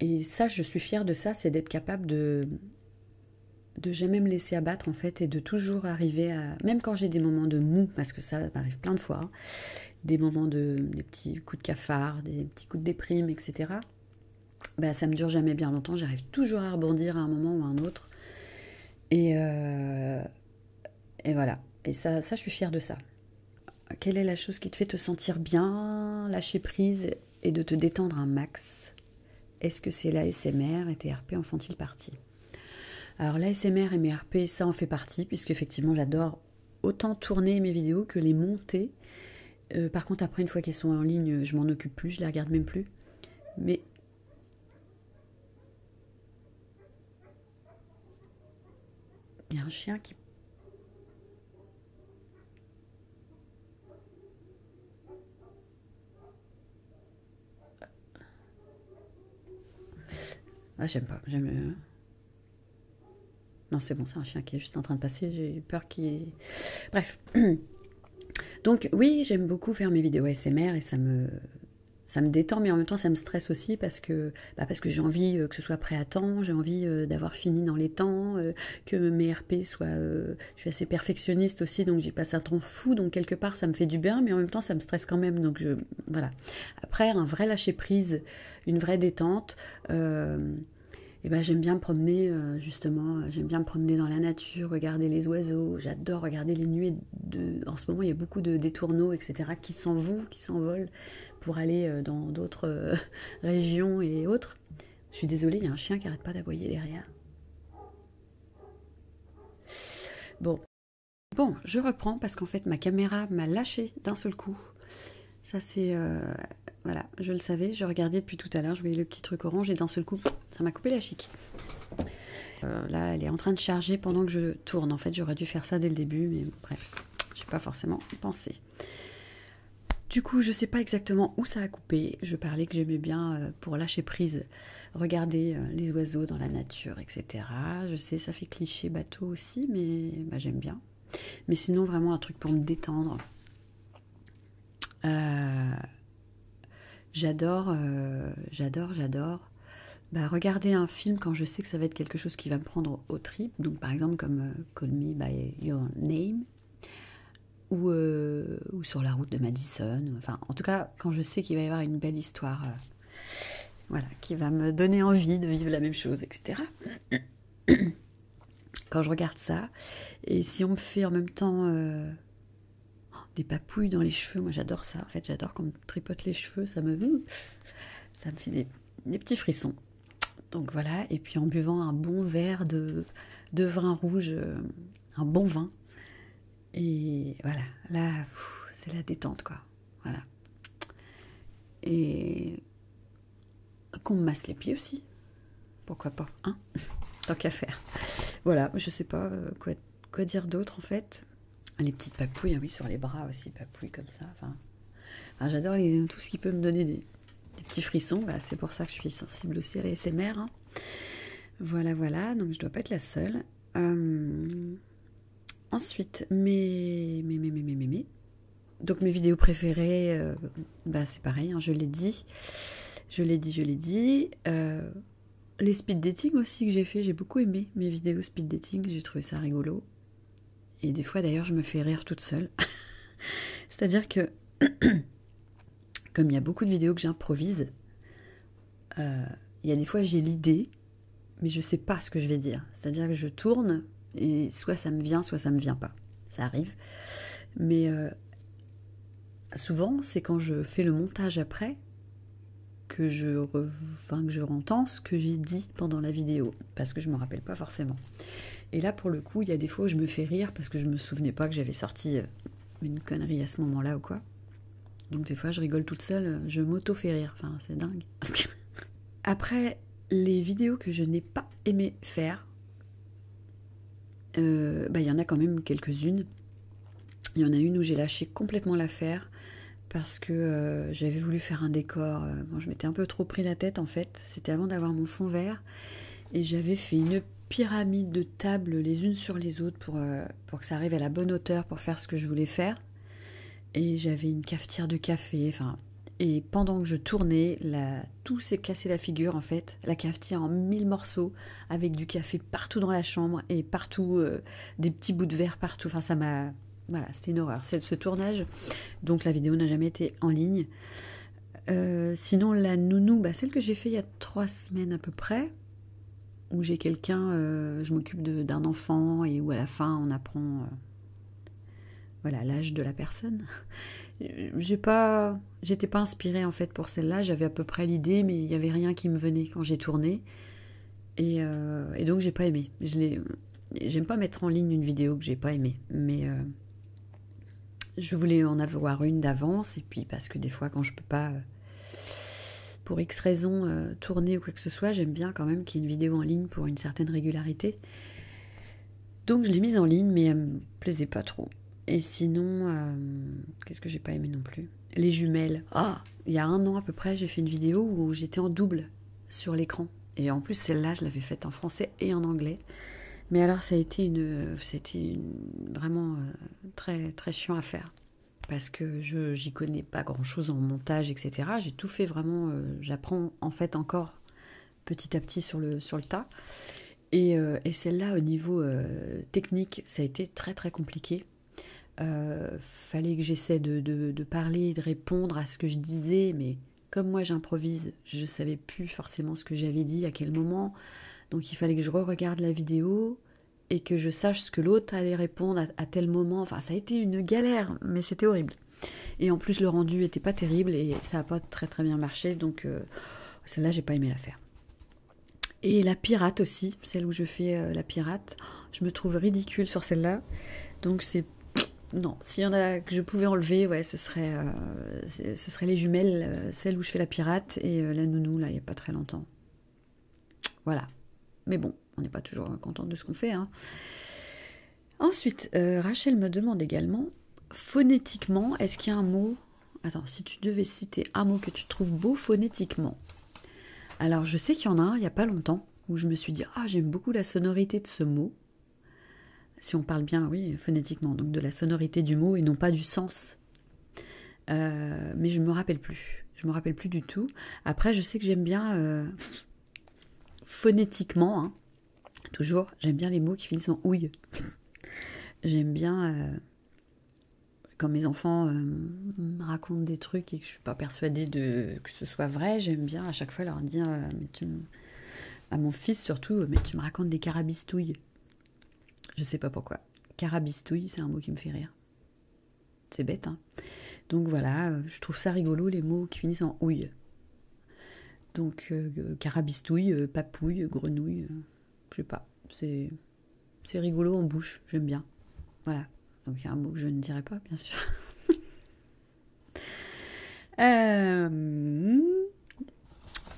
[SPEAKER 1] et ça, je suis fière de ça, c'est d'être capable de de jamais me laisser abattre en fait et de toujours arriver à même quand j'ai des moments de mou parce que ça m'arrive plein de fois hein, des moments de des petits coups de cafard des petits coups de déprime etc bah ça me dure jamais bien longtemps j'arrive toujours à rebondir à un moment ou à un autre et euh, et voilà et ça ça je suis fière de ça quelle est la chose qui te fait te sentir bien, lâcher prise et de te détendre un max Est-ce que c'est l'ASMR et tes RP en font-ils partie Alors l'ASMR et mes RP, ça en fait partie, puisque effectivement j'adore autant tourner mes vidéos que les monter. Euh, par contre, après, une fois qu'elles sont en ligne, je m'en occupe plus, je les regarde même plus. Mais il y a un chien qui ah, j'aime pas. J'aime. Non, c'est bon, c'est un chien qui est juste en train de passer. J'ai peur qu'il. Bref. Donc, oui, j'aime beaucoup faire mes vidéos SMR et ça me. Ça me détend, mais en même temps, ça me stresse aussi parce que, bah, parce que j'ai envie euh, que ce soit prêt à temps, j'ai envie euh, d'avoir fini dans les temps, euh, que mes RP soient... Euh, je suis assez perfectionniste aussi, donc j'y passe un temps fou, donc quelque part ça me fait du bien, mais en même temps ça me stresse quand même, donc voilà. Après, un vrai lâcher-prise, une vraie détente... et euh, eh ben, j'aime bien me promener, euh, justement, j'aime bien me promener dans la nature, regarder les oiseaux, j'adore regarder les nuées. De... En ce moment, il y a beaucoup de détourneaux, etc., qui s'en vont, qui s'envolent pour aller dans d'autres régions et autres. Je suis désolée, il y a un chien qui arrête pas d'aboyer derrière. Bon. Bon, je reprends parce qu'en fait ma caméra m'a lâchée d'un seul coup. Ça c'est... Euh, voilà, je le savais, je regardais depuis tout à l'heure, je voyais le petit truc orange et d'un seul coup, ça m'a coupé la chic. Euh, là, elle est en train de charger pendant que je tourne. En fait, j'aurais dû faire ça dès le début, mais bref, j'ai pas forcément pensé. Du coup, je sais pas exactement où ça a coupé. Je parlais que j'aimais bien euh, pour lâcher prise, regarder euh, les oiseaux dans la nature, etc. Je sais, ça fait cliché bateau aussi, mais bah, j'aime bien. Mais sinon, vraiment un truc pour me détendre. Euh, j'adore, j'adore, j'adore. Bah, regarder un film quand je sais que ça va être quelque chose qui va me prendre au trip. Donc, par exemple, comme Call Me by Your Name ou, euh, ou sur la route de Madison. Enfin, en tout cas, quand je sais qu'il va y avoir une belle histoire, euh, voilà, qui va me donner envie de vivre la même chose, etc. Quand je regarde ça, et si on me fait en même temps euh, des papouilles dans les cheveux, moi j'adore ça. En fait, j'adore on me tripote les cheveux, ça me, ça me fait des petits frissons. Donc voilà, et puis en buvant un bon verre de, de vin rouge, euh, un bon vin. Et voilà, là, c'est la détente, quoi. Voilà. Et qu'on masse les pieds aussi. Pourquoi pas, hein Tant qu'à faire. Voilà, je sais pas euh, quoi, dire d'autre en fait. Les petites papouilles, hein, oui, sur les bras aussi, papouilles comme ça. enfin j'adore tout ce qui peut me donner des, des petits frissons. Bah, c'est pour ça que je suis sensible aussi à la Voilà, voilà. Donc je ne dois pas être la seule. Euh, ensuite, mes, donc mes vidéos préférées, euh, bah c'est pareil. Hein, je l'ai dit, je l'ai dit, je l'ai dit. Euh, les speed dating aussi que j'ai fait, j'ai beaucoup aimé mes vidéos speed dating. J'ai trouvé ça rigolo. Et des fois d'ailleurs je me fais rire toute seule. C'est-à-dire que comme il y a beaucoup de vidéos que j'improvise, euh, il y a des fois j'ai l'idée, mais je sais pas ce que je vais dire. C'est-à-dire que je tourne et soit ça me vient, soit ça me vient pas. Ça arrive. Mais euh, souvent, c'est quand je fais le montage après que je, que je rentends ce que j'ai dit pendant la vidéo, parce que je ne me rappelle pas forcément. Et là, pour le coup, il y a des fois où je me fais rire parce que je me souvenais pas que j'avais sorti euh, une connerie à ce moment-là ou quoi. Donc, des fois, je rigole toute seule, euh, je m'auto-fais rire. Enfin, c'est dingue. Après, les vidéos que je n'ai pas aimé faire, euh, bah, il y en a quand même quelques-unes. Il y en a une où j'ai lâché complètement l'affaire parce que j'avais voulu faire un décor. je m'étais un peu trop pris la tête en fait. C'était avant d'avoir mon fond vert. Et j'avais fait une pyramide de tables les unes sur les autres pour, euh, pour que ça arrive à la bonne hauteur pour faire ce que je voulais faire. Et j'avais une cafetière de café, enfin. Et pendant que je tournais, tout s'est cassé la figure en fait. La cafetière en mille morceaux, avec du café partout dans la chambre et partout, euh, des petits bouts de verre partout. Enfin, ça m'a. Voilà, c'était une horreur. C'est ce tournage. Donc la vidéo n'a jamais été en ligne. Euh, sinon, la nounou, bah, celle que j'ai fait il y a trois semaines à peu près, où j'ai quelqu'un, euh, je m'occupe d'un enfant et où à la fin on apprend euh, voilà l'âge de la personne. J'ai pas, j'étais pas inspirée en fait pour celle-là. J'avais à peu près l'idée, mais il n'y avait rien qui me venait quand j'ai tourné. Et, donc j'ai pas aimé. Je J'aime pas mettre en ligne une vidéo que j'ai pas aimée, mais je voulais en avoir une d'avance, et puis parce que des fois, quand je peux pas, euh, pour X raisons, euh, tourner ou quoi que ce soit, j'aime bien quand même qu'il y ait une vidéo en ligne pour une certaine régularité. Donc je l'ai mise en ligne, mais elle me plaisait pas trop. Et sinon, euh, qu'est-ce que j'ai pas aimé non plus Les jumelles. Ah Il y a un an à peu près, j'ai fait une vidéo où j'étais en double sur l'écran. Et en plus, celle-là, je l'avais faite en français et en anglais. Mais alors ça a été une, c'était vraiment euh, très très chiant à faire parce que je j'y connais pas grand chose en montage etc. J'ai tout fait vraiment, euh, j'apprends en fait encore petit à petit sur le sur le tas. Et, euh, celle-là au niveau technique, ça a été très très compliqué. fallait que j'essaie de, parler, de répondre à ce que je disais, mais comme moi j'improvise, je savais plus forcément ce que j'avais dit, à quel moment. Donc il fallait que je re-regarde la vidéo et que je sache ce que l'autre allait répondre à, tel moment. Enfin, ça a été une galère, mais c'était horrible. Et en plus, le rendu n'était pas terrible et ça n'a pas très très bien marché. Donc euh, celle-là, j'ai pas aimé la faire. Et la pirate aussi, celle où je fais euh, la pirate. Je me trouve ridicule sur celle-là. Donc c'est non, s'il y en a que je pouvais enlever, ouais, ce serait, euh, ce les jumelles, euh, celle où je fais la pirate et euh, la nounou, là, il n'y a pas très longtemps. Voilà. Mais bon, on n'est pas toujours content de ce qu'on fait. Hein. Ensuite, Rachel me demande également, phonétiquement, est-ce qu'il y a un mot Attends, si tu devais citer un mot que tu trouves beau phonétiquement. Alors, je sais qu'il y en a un, il n'y a pas longtemps, où je me suis dit, ah, j'aime beaucoup la sonorité de ce mot si on parle bien, oui, phonétiquement, donc de la sonorité du mot et non pas du sens. Euh, mais je ne me rappelle plus. Je me rappelle plus du tout. Après, je sais que j'aime bien euh, phonétiquement, hein, toujours, j'aime bien les mots qui finissent en ouille. j'aime bien euh, quand mes enfants racontent des trucs et que je suis pas persuadée que ce soit vrai. J'aime bien à chaque fois leur dire, mais tu à mon fils surtout, mais tu me racontes des carabistouilles. Je sais pas pourquoi. Carabistouille, c'est un mot qui me fait rire. C'est bête, hein. Donc voilà, euh, je trouve ça rigolo les mots qui finissent en houille. Donc euh, euh, carabistouille, papouille, grenouille, je sais pas. C'est c'est rigolo en bouche, j'aime bien. Voilà. Donc il y a un mot que je ne dirai pas, bien sûr. Euh,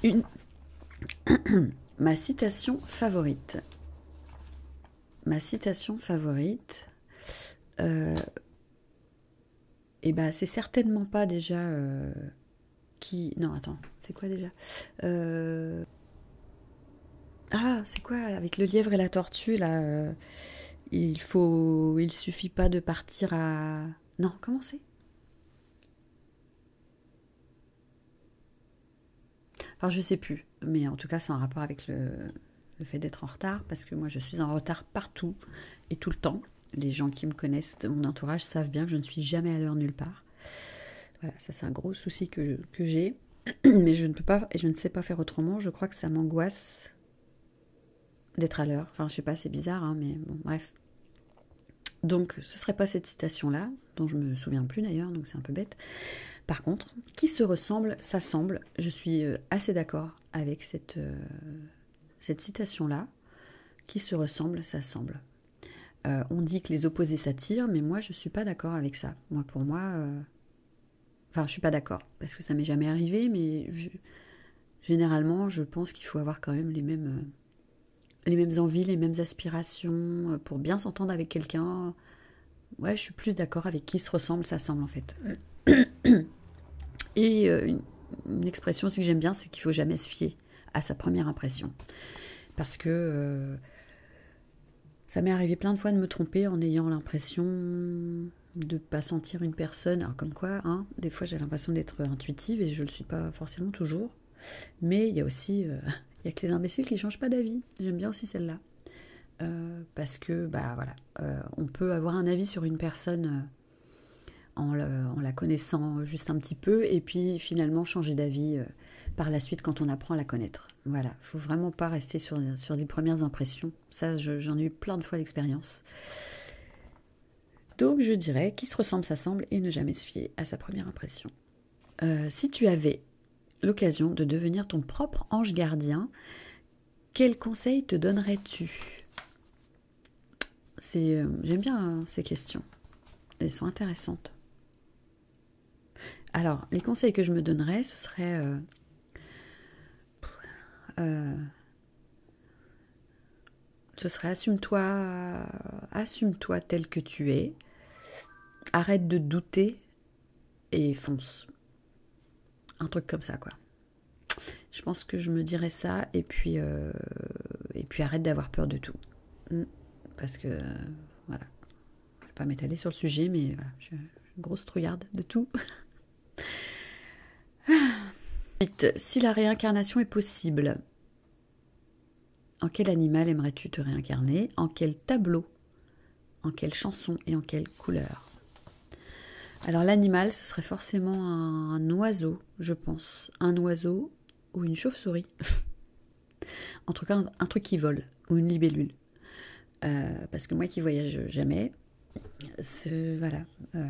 [SPEAKER 1] Ma citation favorite. Ma citation favorite. Euh, eh et ben, c'est certainement pas déjà euh, qui. Non, attends, c'est quoi déjà Ah, c'est quoi avec le lièvre et la tortue là Il faut, il suffit pas de partir à non, comment c'est Enfin, je sais plus, mais en tout cas, c'est en rapport avec le, fait d'être en retard, parce que moi, je suis en retard partout et tout le temps. Les gens qui me connaissent, mon entourage, savent bien que je ne suis jamais à l'heure nulle part. Voilà, ça c'est un gros souci que, que j'ai, mais je ne peux pas et je ne sais pas faire autrement. Je crois que ça m'angoisse d'être à l'heure. Enfin, je sais pas, c'est bizarre, hein, mais bon, bref. Donc, ce serait pas cette citation-là, dont je me souviens plus d'ailleurs, donc c'est un peu bête. Par contre, qui se ressemble, s'assemble. Je suis euh, assez d'accord avec euh, cette, citation-là. Qui se ressemble, s'assemble. semble. Euh, on dit que les opposés s'attirent, mais moi je ne suis pas d'accord avec ça. Moi, pour moi, enfin, je suis pas d'accord parce que ça m'est jamais arrivé, mais généralement, je pense qu'il faut avoir quand même les mêmes, euh, les mêmes envies, les mêmes aspirations euh, pour bien s'entendre avec quelqu'un. Ouais, je suis plus d'accord avec qui se ressemble, ça semble en fait. Et euh, une, expression aussi que j'aime bien, c'est qu'il faut jamais se fier à sa première impression. Parce que ça m'est arrivé plein de fois de me tromper en ayant l'impression de pas sentir une personne, alors comme quoi, hein, des fois, j'ai l'impression d'être intuitive et je ne le suis pas forcément toujours. Mais il y a aussi, euh, il y a que les imbéciles qui changent pas d'avis. J'aime bien aussi celle-là. Euh, parce que, bah voilà, euh, on peut avoir un avis sur une personne en, la connaissant juste un petit peu et puis finalement changer d'avis par la suite quand on apprend à la connaître. Voilà, faut vraiment pas rester sur, sur des premières impressions. Ça, j'en ai eu plein de fois l'expérience. Donc je dirais qui se ressemble s'assemble et ne jamais se fier à sa première impression. Euh, si tu avais l'occasion de devenir ton propre ange gardien, quels conseil te donnerais-tu C'est, euh, J'aime bien hein, ces questions. Elles sont intéressantes. Alors, les conseils que je me donnerais, ce serait euh, ce serait assume-toi, assume-toi tel que tu es, arrête de douter et fonce. Un truc comme ça, quoi. Je pense que je me dirais ça et puis, euh, et puis arrête d'avoir peur de tout. Mm. Parce que, voilà. Je ne vais pas m'étaler sur le sujet, mais je suis grosse trouillarde de tout. si la réincarnation est possible, en quel animal aimerais-tu te réincarner En quel tableau En quelle chanson Et en quelle couleur Alors l'animal, ce serait forcément un, oiseau, je pense. Un oiseau ou une chauve-souris. en tout cas, un, truc qui vole, ou une libellule. Euh, parce que moi qui voyage jamais, voilà. Euh,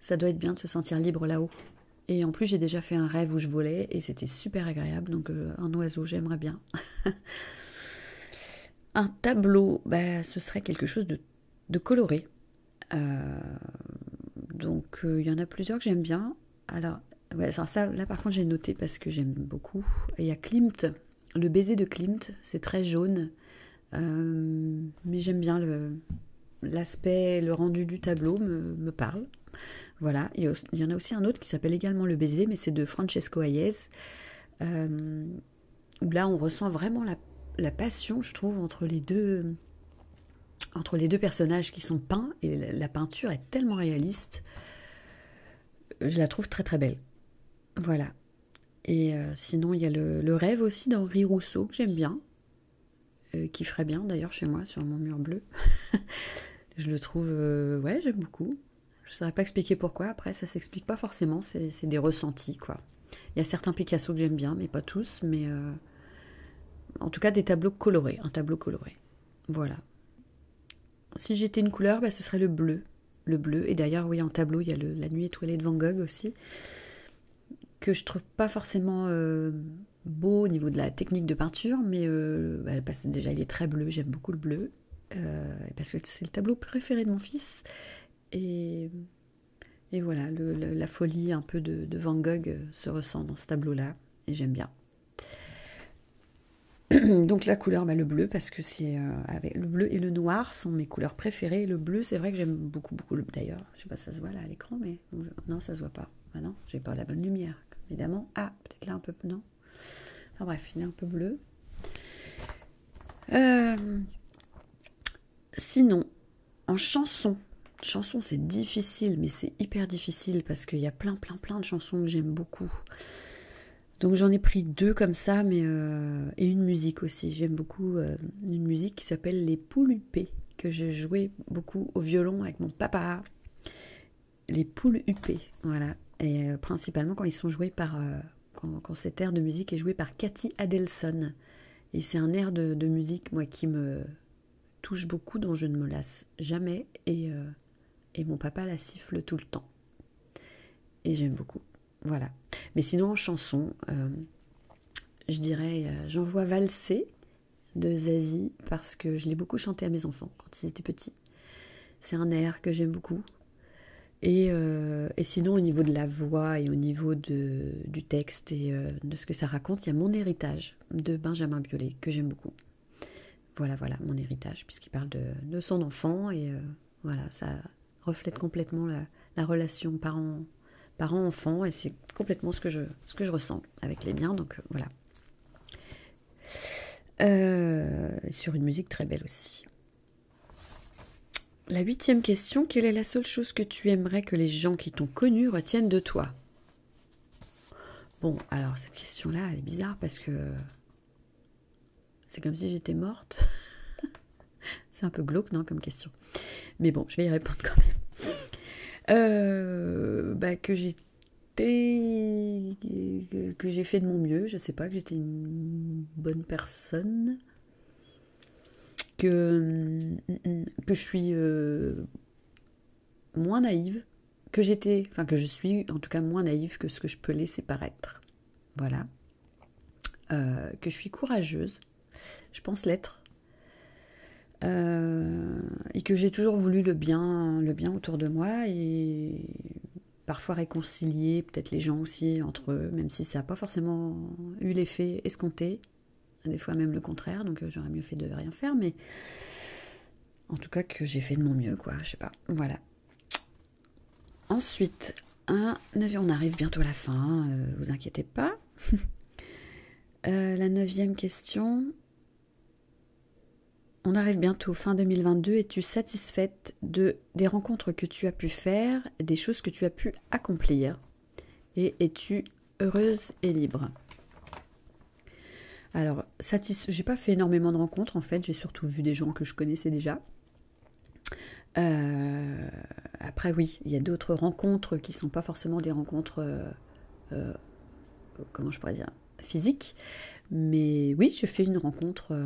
[SPEAKER 1] ça doit être bien de se sentir libre là-haut. Et en plus, j'ai déjà fait un rêve où je volais et c'était super agréable. Donc, euh, un oiseau, j'aimerais bien. un tableau, bah, ce serait quelque chose de, coloré. Euh, donc, euh, il y en a plusieurs que j'aime bien. Alors, ça, ça, là par contre, j'ai noté parce que j'aime beaucoup. Il y a Klimt, le baiser de Klimt, c'est très jaune. Euh, mais j'aime bien l'aspect, le, rendu du tableau me, me parle. Voilà, il y, en a aussi un autre qui s'appelle également Le baiser, mais c'est de Francesco Hayez. Euh, là, on ressent vraiment la, passion, je trouve, entre les deux entre les deux personnages qui sont peints et la peinture est tellement réaliste, je la trouve très très belle. Voilà. Et euh, sinon, il y a le, le rêve aussi d'Henri Rousseau que j'aime bien. Euh, qui ferait bien d'ailleurs chez moi sur mon mur bleu. je le trouve, euh, ouais, j'aime beaucoup. Je saurais pas expliquer pourquoi. Après, ça s'explique pas forcément. C'est des ressentis, quoi. Il y a certains Picasso que j'aime bien, mais pas tous. Mais euh, en tout cas, des tableaux colorés, un tableau coloré. Voilà. Si j'étais une couleur, bah, ce serait le bleu. Le bleu. Et d'ailleurs, oui, en tableau, il y a le, la nuit étoilée de Van Gogh aussi que je trouve pas forcément euh, beau au niveau de la technique de peinture, mais euh, bah, déjà il est très bleu, j'aime beaucoup le bleu, euh, parce que c'est le tableau préféré de mon fils. Et, voilà, la folie un peu de, Van Gogh se ressent dans ce tableau-là, et j'aime bien. Donc la couleur, bah, le bleu, parce que c'est avec le bleu et le noir sont mes couleurs préférées. Le bleu, c'est vrai que j'aime beaucoup, beaucoup d'ailleurs je sais pas si ça se voit là à l'écran, mais non, ça se voit pas. Maintenant, ah non, j'ai pas la bonne lumière, évidemment. Ah, peut-être là un peu non. Enfin bref, il est un peu bleu. Euh, sinon, en chanson, chanson c'est difficile, mais c'est hyper difficile parce qu'il y a plein, plein, plein de chansons que j'aime beaucoup. Donc j'en ai pris deux comme ça, mais euh, et une musique aussi. J'aime beaucoup euh, une musique qui s'appelle les poules huppées que je jouais beaucoup au violon avec mon papa. Les poules huppées, voilà. Et euh, principalement quand ils sont joués par. Euh, quand, cet air de musique est joué par Cathy Adelson. Et c'est un air de, musique, moi, qui me touche beaucoup, dont je ne me lasse jamais. Et, euh, et mon papa la siffle tout le temps. Et j'aime beaucoup. Voilà. Mais sinon, en chanson, je dirais, euh, j'en vois valser de Zazie parce que je l'ai beaucoup chanté à mes enfants quand ils étaient petits. C'est un air que j'aime beaucoup. Et, euh, sinon, au niveau de la voix et au niveau du texte et euh, de ce que ça raconte, il y a Mon héritage de Benjamin Biolay que j'aime beaucoup. Voilà, voilà, Mon héritage, puisqu'il parle de, son enfant et voilà, ça reflète complètement la, la relation parent, parents-enfants et c'est complètement ce que, je, ressens avec les miens, donc euh, voilà. Euh, sur une musique très belle aussi. La huitième question, quelle est la seule chose que tu aimerais que les gens qui t'ont connu retiennent de toi Bon, alors cette question-là, elle est bizarre parce que c'est comme si j'étais morte. C'est un peu glauque, non, comme question. Mais bon, je vais y répondre quand même. Euh, bah, que j'ai fait de mon mieux, je sais pas, que j'étais une bonne personne. Que, mm, mm, que je suis euh, moins naïve, que j'étais, enfin que je suis en tout cas moins naïve que ce que je peux laisser paraître. Voilà. Euh, que je suis courageuse, je pense l'être. Euh, et que j'ai toujours voulu le bien, le bien autour de moi et parfois réconcilier peut-être les gens aussi entre eux, même si ça n'a pas forcément eu l'effet escompté, des fois même le contraire, donc euh, j'aurais mieux fait de rien faire, mais en tout cas que j'ai fait de mon mieux, quoi, je sais pas, voilà. Ensuite, un on arrive bientôt à la fin, euh, vous inquiétez pas. Euh, la neuvième question. On arrive bientôt fin 2022. Es-tu satisfaite de, des rencontres que tu as pu faire, des choses que tu as pu accomplir Et es-tu heureuse et libre Alors, j'ai pas fait énormément de rencontres en fait. J'ai surtout vu des gens que je connaissais déjà. Euh, après, oui, il y a d'autres rencontres qui ne sont pas forcément des rencontres, euh, euh, comment je pourrais dire, physiques. Mais oui, j'ai fait une rencontre.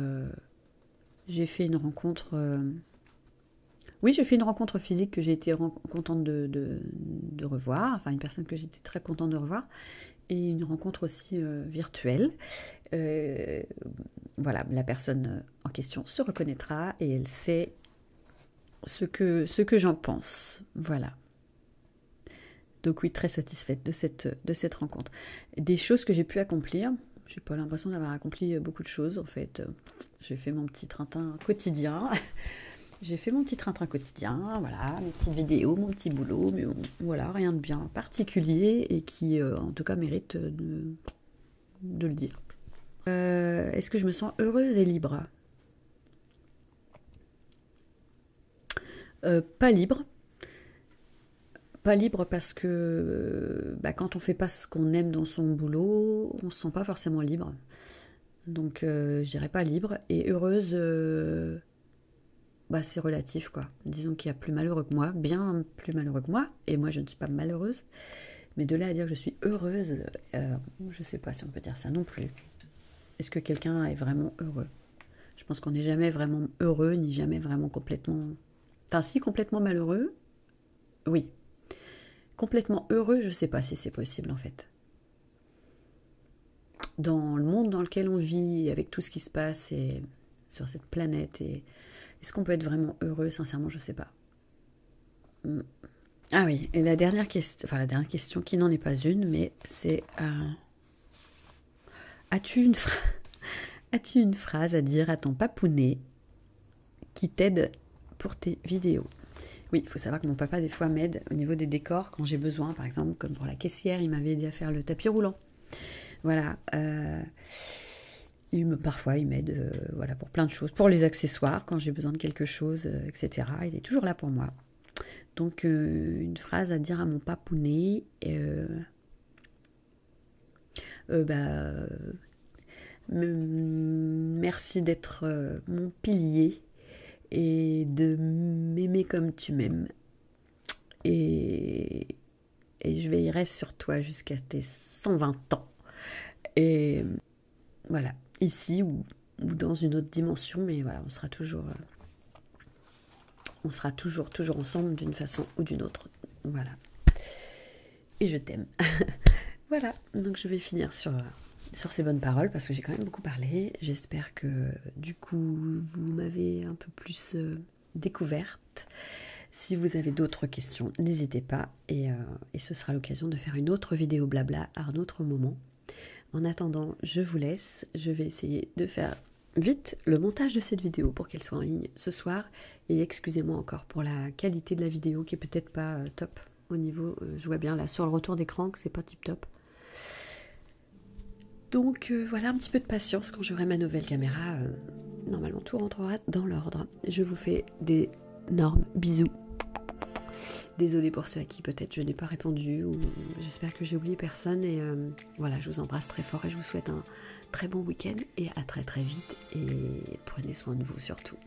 [SPEAKER 1] j'ai fait une rencontre. oui, j'ai fait une rencontre physique que j'ai été contente de, de, revoir, enfin une personne que j'étais très contente de revoir, et une rencontre aussi virtuelle. voilà, la personne en question se reconnaîtra et elle sait ce que, ce j'en pense. Voilà. Donc oui, très satisfaite de cette, rencontre. Des choses que j'ai pu accomplir. J'ai pas l'impression d'avoir accompli beaucoup de choses en fait. J'ai fait mon petit train quotidien. j'ai fait mon petit train quotidien, voilà, mes petites vidéos, mon petit boulot, mais voilà, rien de bien particulier et qui euh, en tout cas mérite de, de le dire. Euh, est-ce que je me sens heureuse et libre euh, Pas libre. Pas libre parce que bah, quand on fait pas ce qu'on aime dans son boulot, on se sent pas forcément libre. Donc j'irai euh, je pas libre. Et heureuse, bah, c'est relatif quoi. Disons qu'il y a plus malheureux que moi, bien plus malheureux que moi, et moi je ne suis pas malheureuse. Mais de là à dire que je suis heureuse, euh, je ne sais pas si on peut dire ça non plus. Est-ce que quelqu'un est vraiment heureux Je pense qu'on n'est jamais vraiment heureux, ni jamais vraiment complètement... Enfin, si complètement malheureux, oui. Complètement heureux, je ne sais pas si c'est possible en fait. Dans le monde dans lequel on vit, avec tout ce qui se passe et sur cette planète, est-ce qu'on peut être vraiment heureux Sincèrement, je ne sais pas. Ah oui, et la dernière question, enfin la dernière question qui n'en est pas une, mais c'est euh, As-tu une, phrase à dire à ton papounet qui t'aide pour tes vidéos oui, il faut savoir que mon papa, des fois, m'aide au niveau des décors quand j'ai besoin. Par exemple, comme pour la caissière, il m'avait aidé à faire le tapis roulant. Voilà. Euh, me, parfois, il m'aide euh, voilà, pour plein de choses, pour les accessoires, quand j'ai besoin de quelque chose, euh, etc. Il est toujours là pour moi. Donc, euh, une phrase à dire à mon papounet. Bah, merci d'être mon pilier et de m'aimer comme tu m'aimes. Et, et je veillerai sur toi jusqu'à tes 120 ans. Et voilà, ici ou, dans une autre dimension, mais voilà, on sera toujours, euh, on sera toujours, toujours ensemble d'une façon ou d'une autre. Voilà. Et je t'aime. voilà, donc je vais finir euh, sur, ces bonnes paroles parce que j'ai quand même beaucoup parlé. J'espère que du coup, vous m'avez un peu plus euh, découverte. Si vous avez d'autres questions, n'hésitez pas euh, et, ce sera l'occasion de faire une autre vidéo blabla à un autre moment. En attendant, je vous laisse. Je vais essayer de faire vite le montage de cette vidéo pour qu'elle soit en ligne ce soir. Et excusez-moi encore pour la qualité de la vidéo qui est peut-être pas euh, top au niveau. Euh, je vois bien là sur le retour d'écran que c'est pas tip top. Donc voilà un petit peu de patience quand j'aurai ma nouvelle caméra. normalement tout rentrera dans l'ordre. Je vous fais des normes bisous. Désolée pour ceux à qui peut-être je n'ai pas répondu ou j'espère que j'ai oublié personne et euh, voilà je vous embrasse très fort et je vous souhaite un très bon week-end et à très très vite et prenez soin de vous surtout.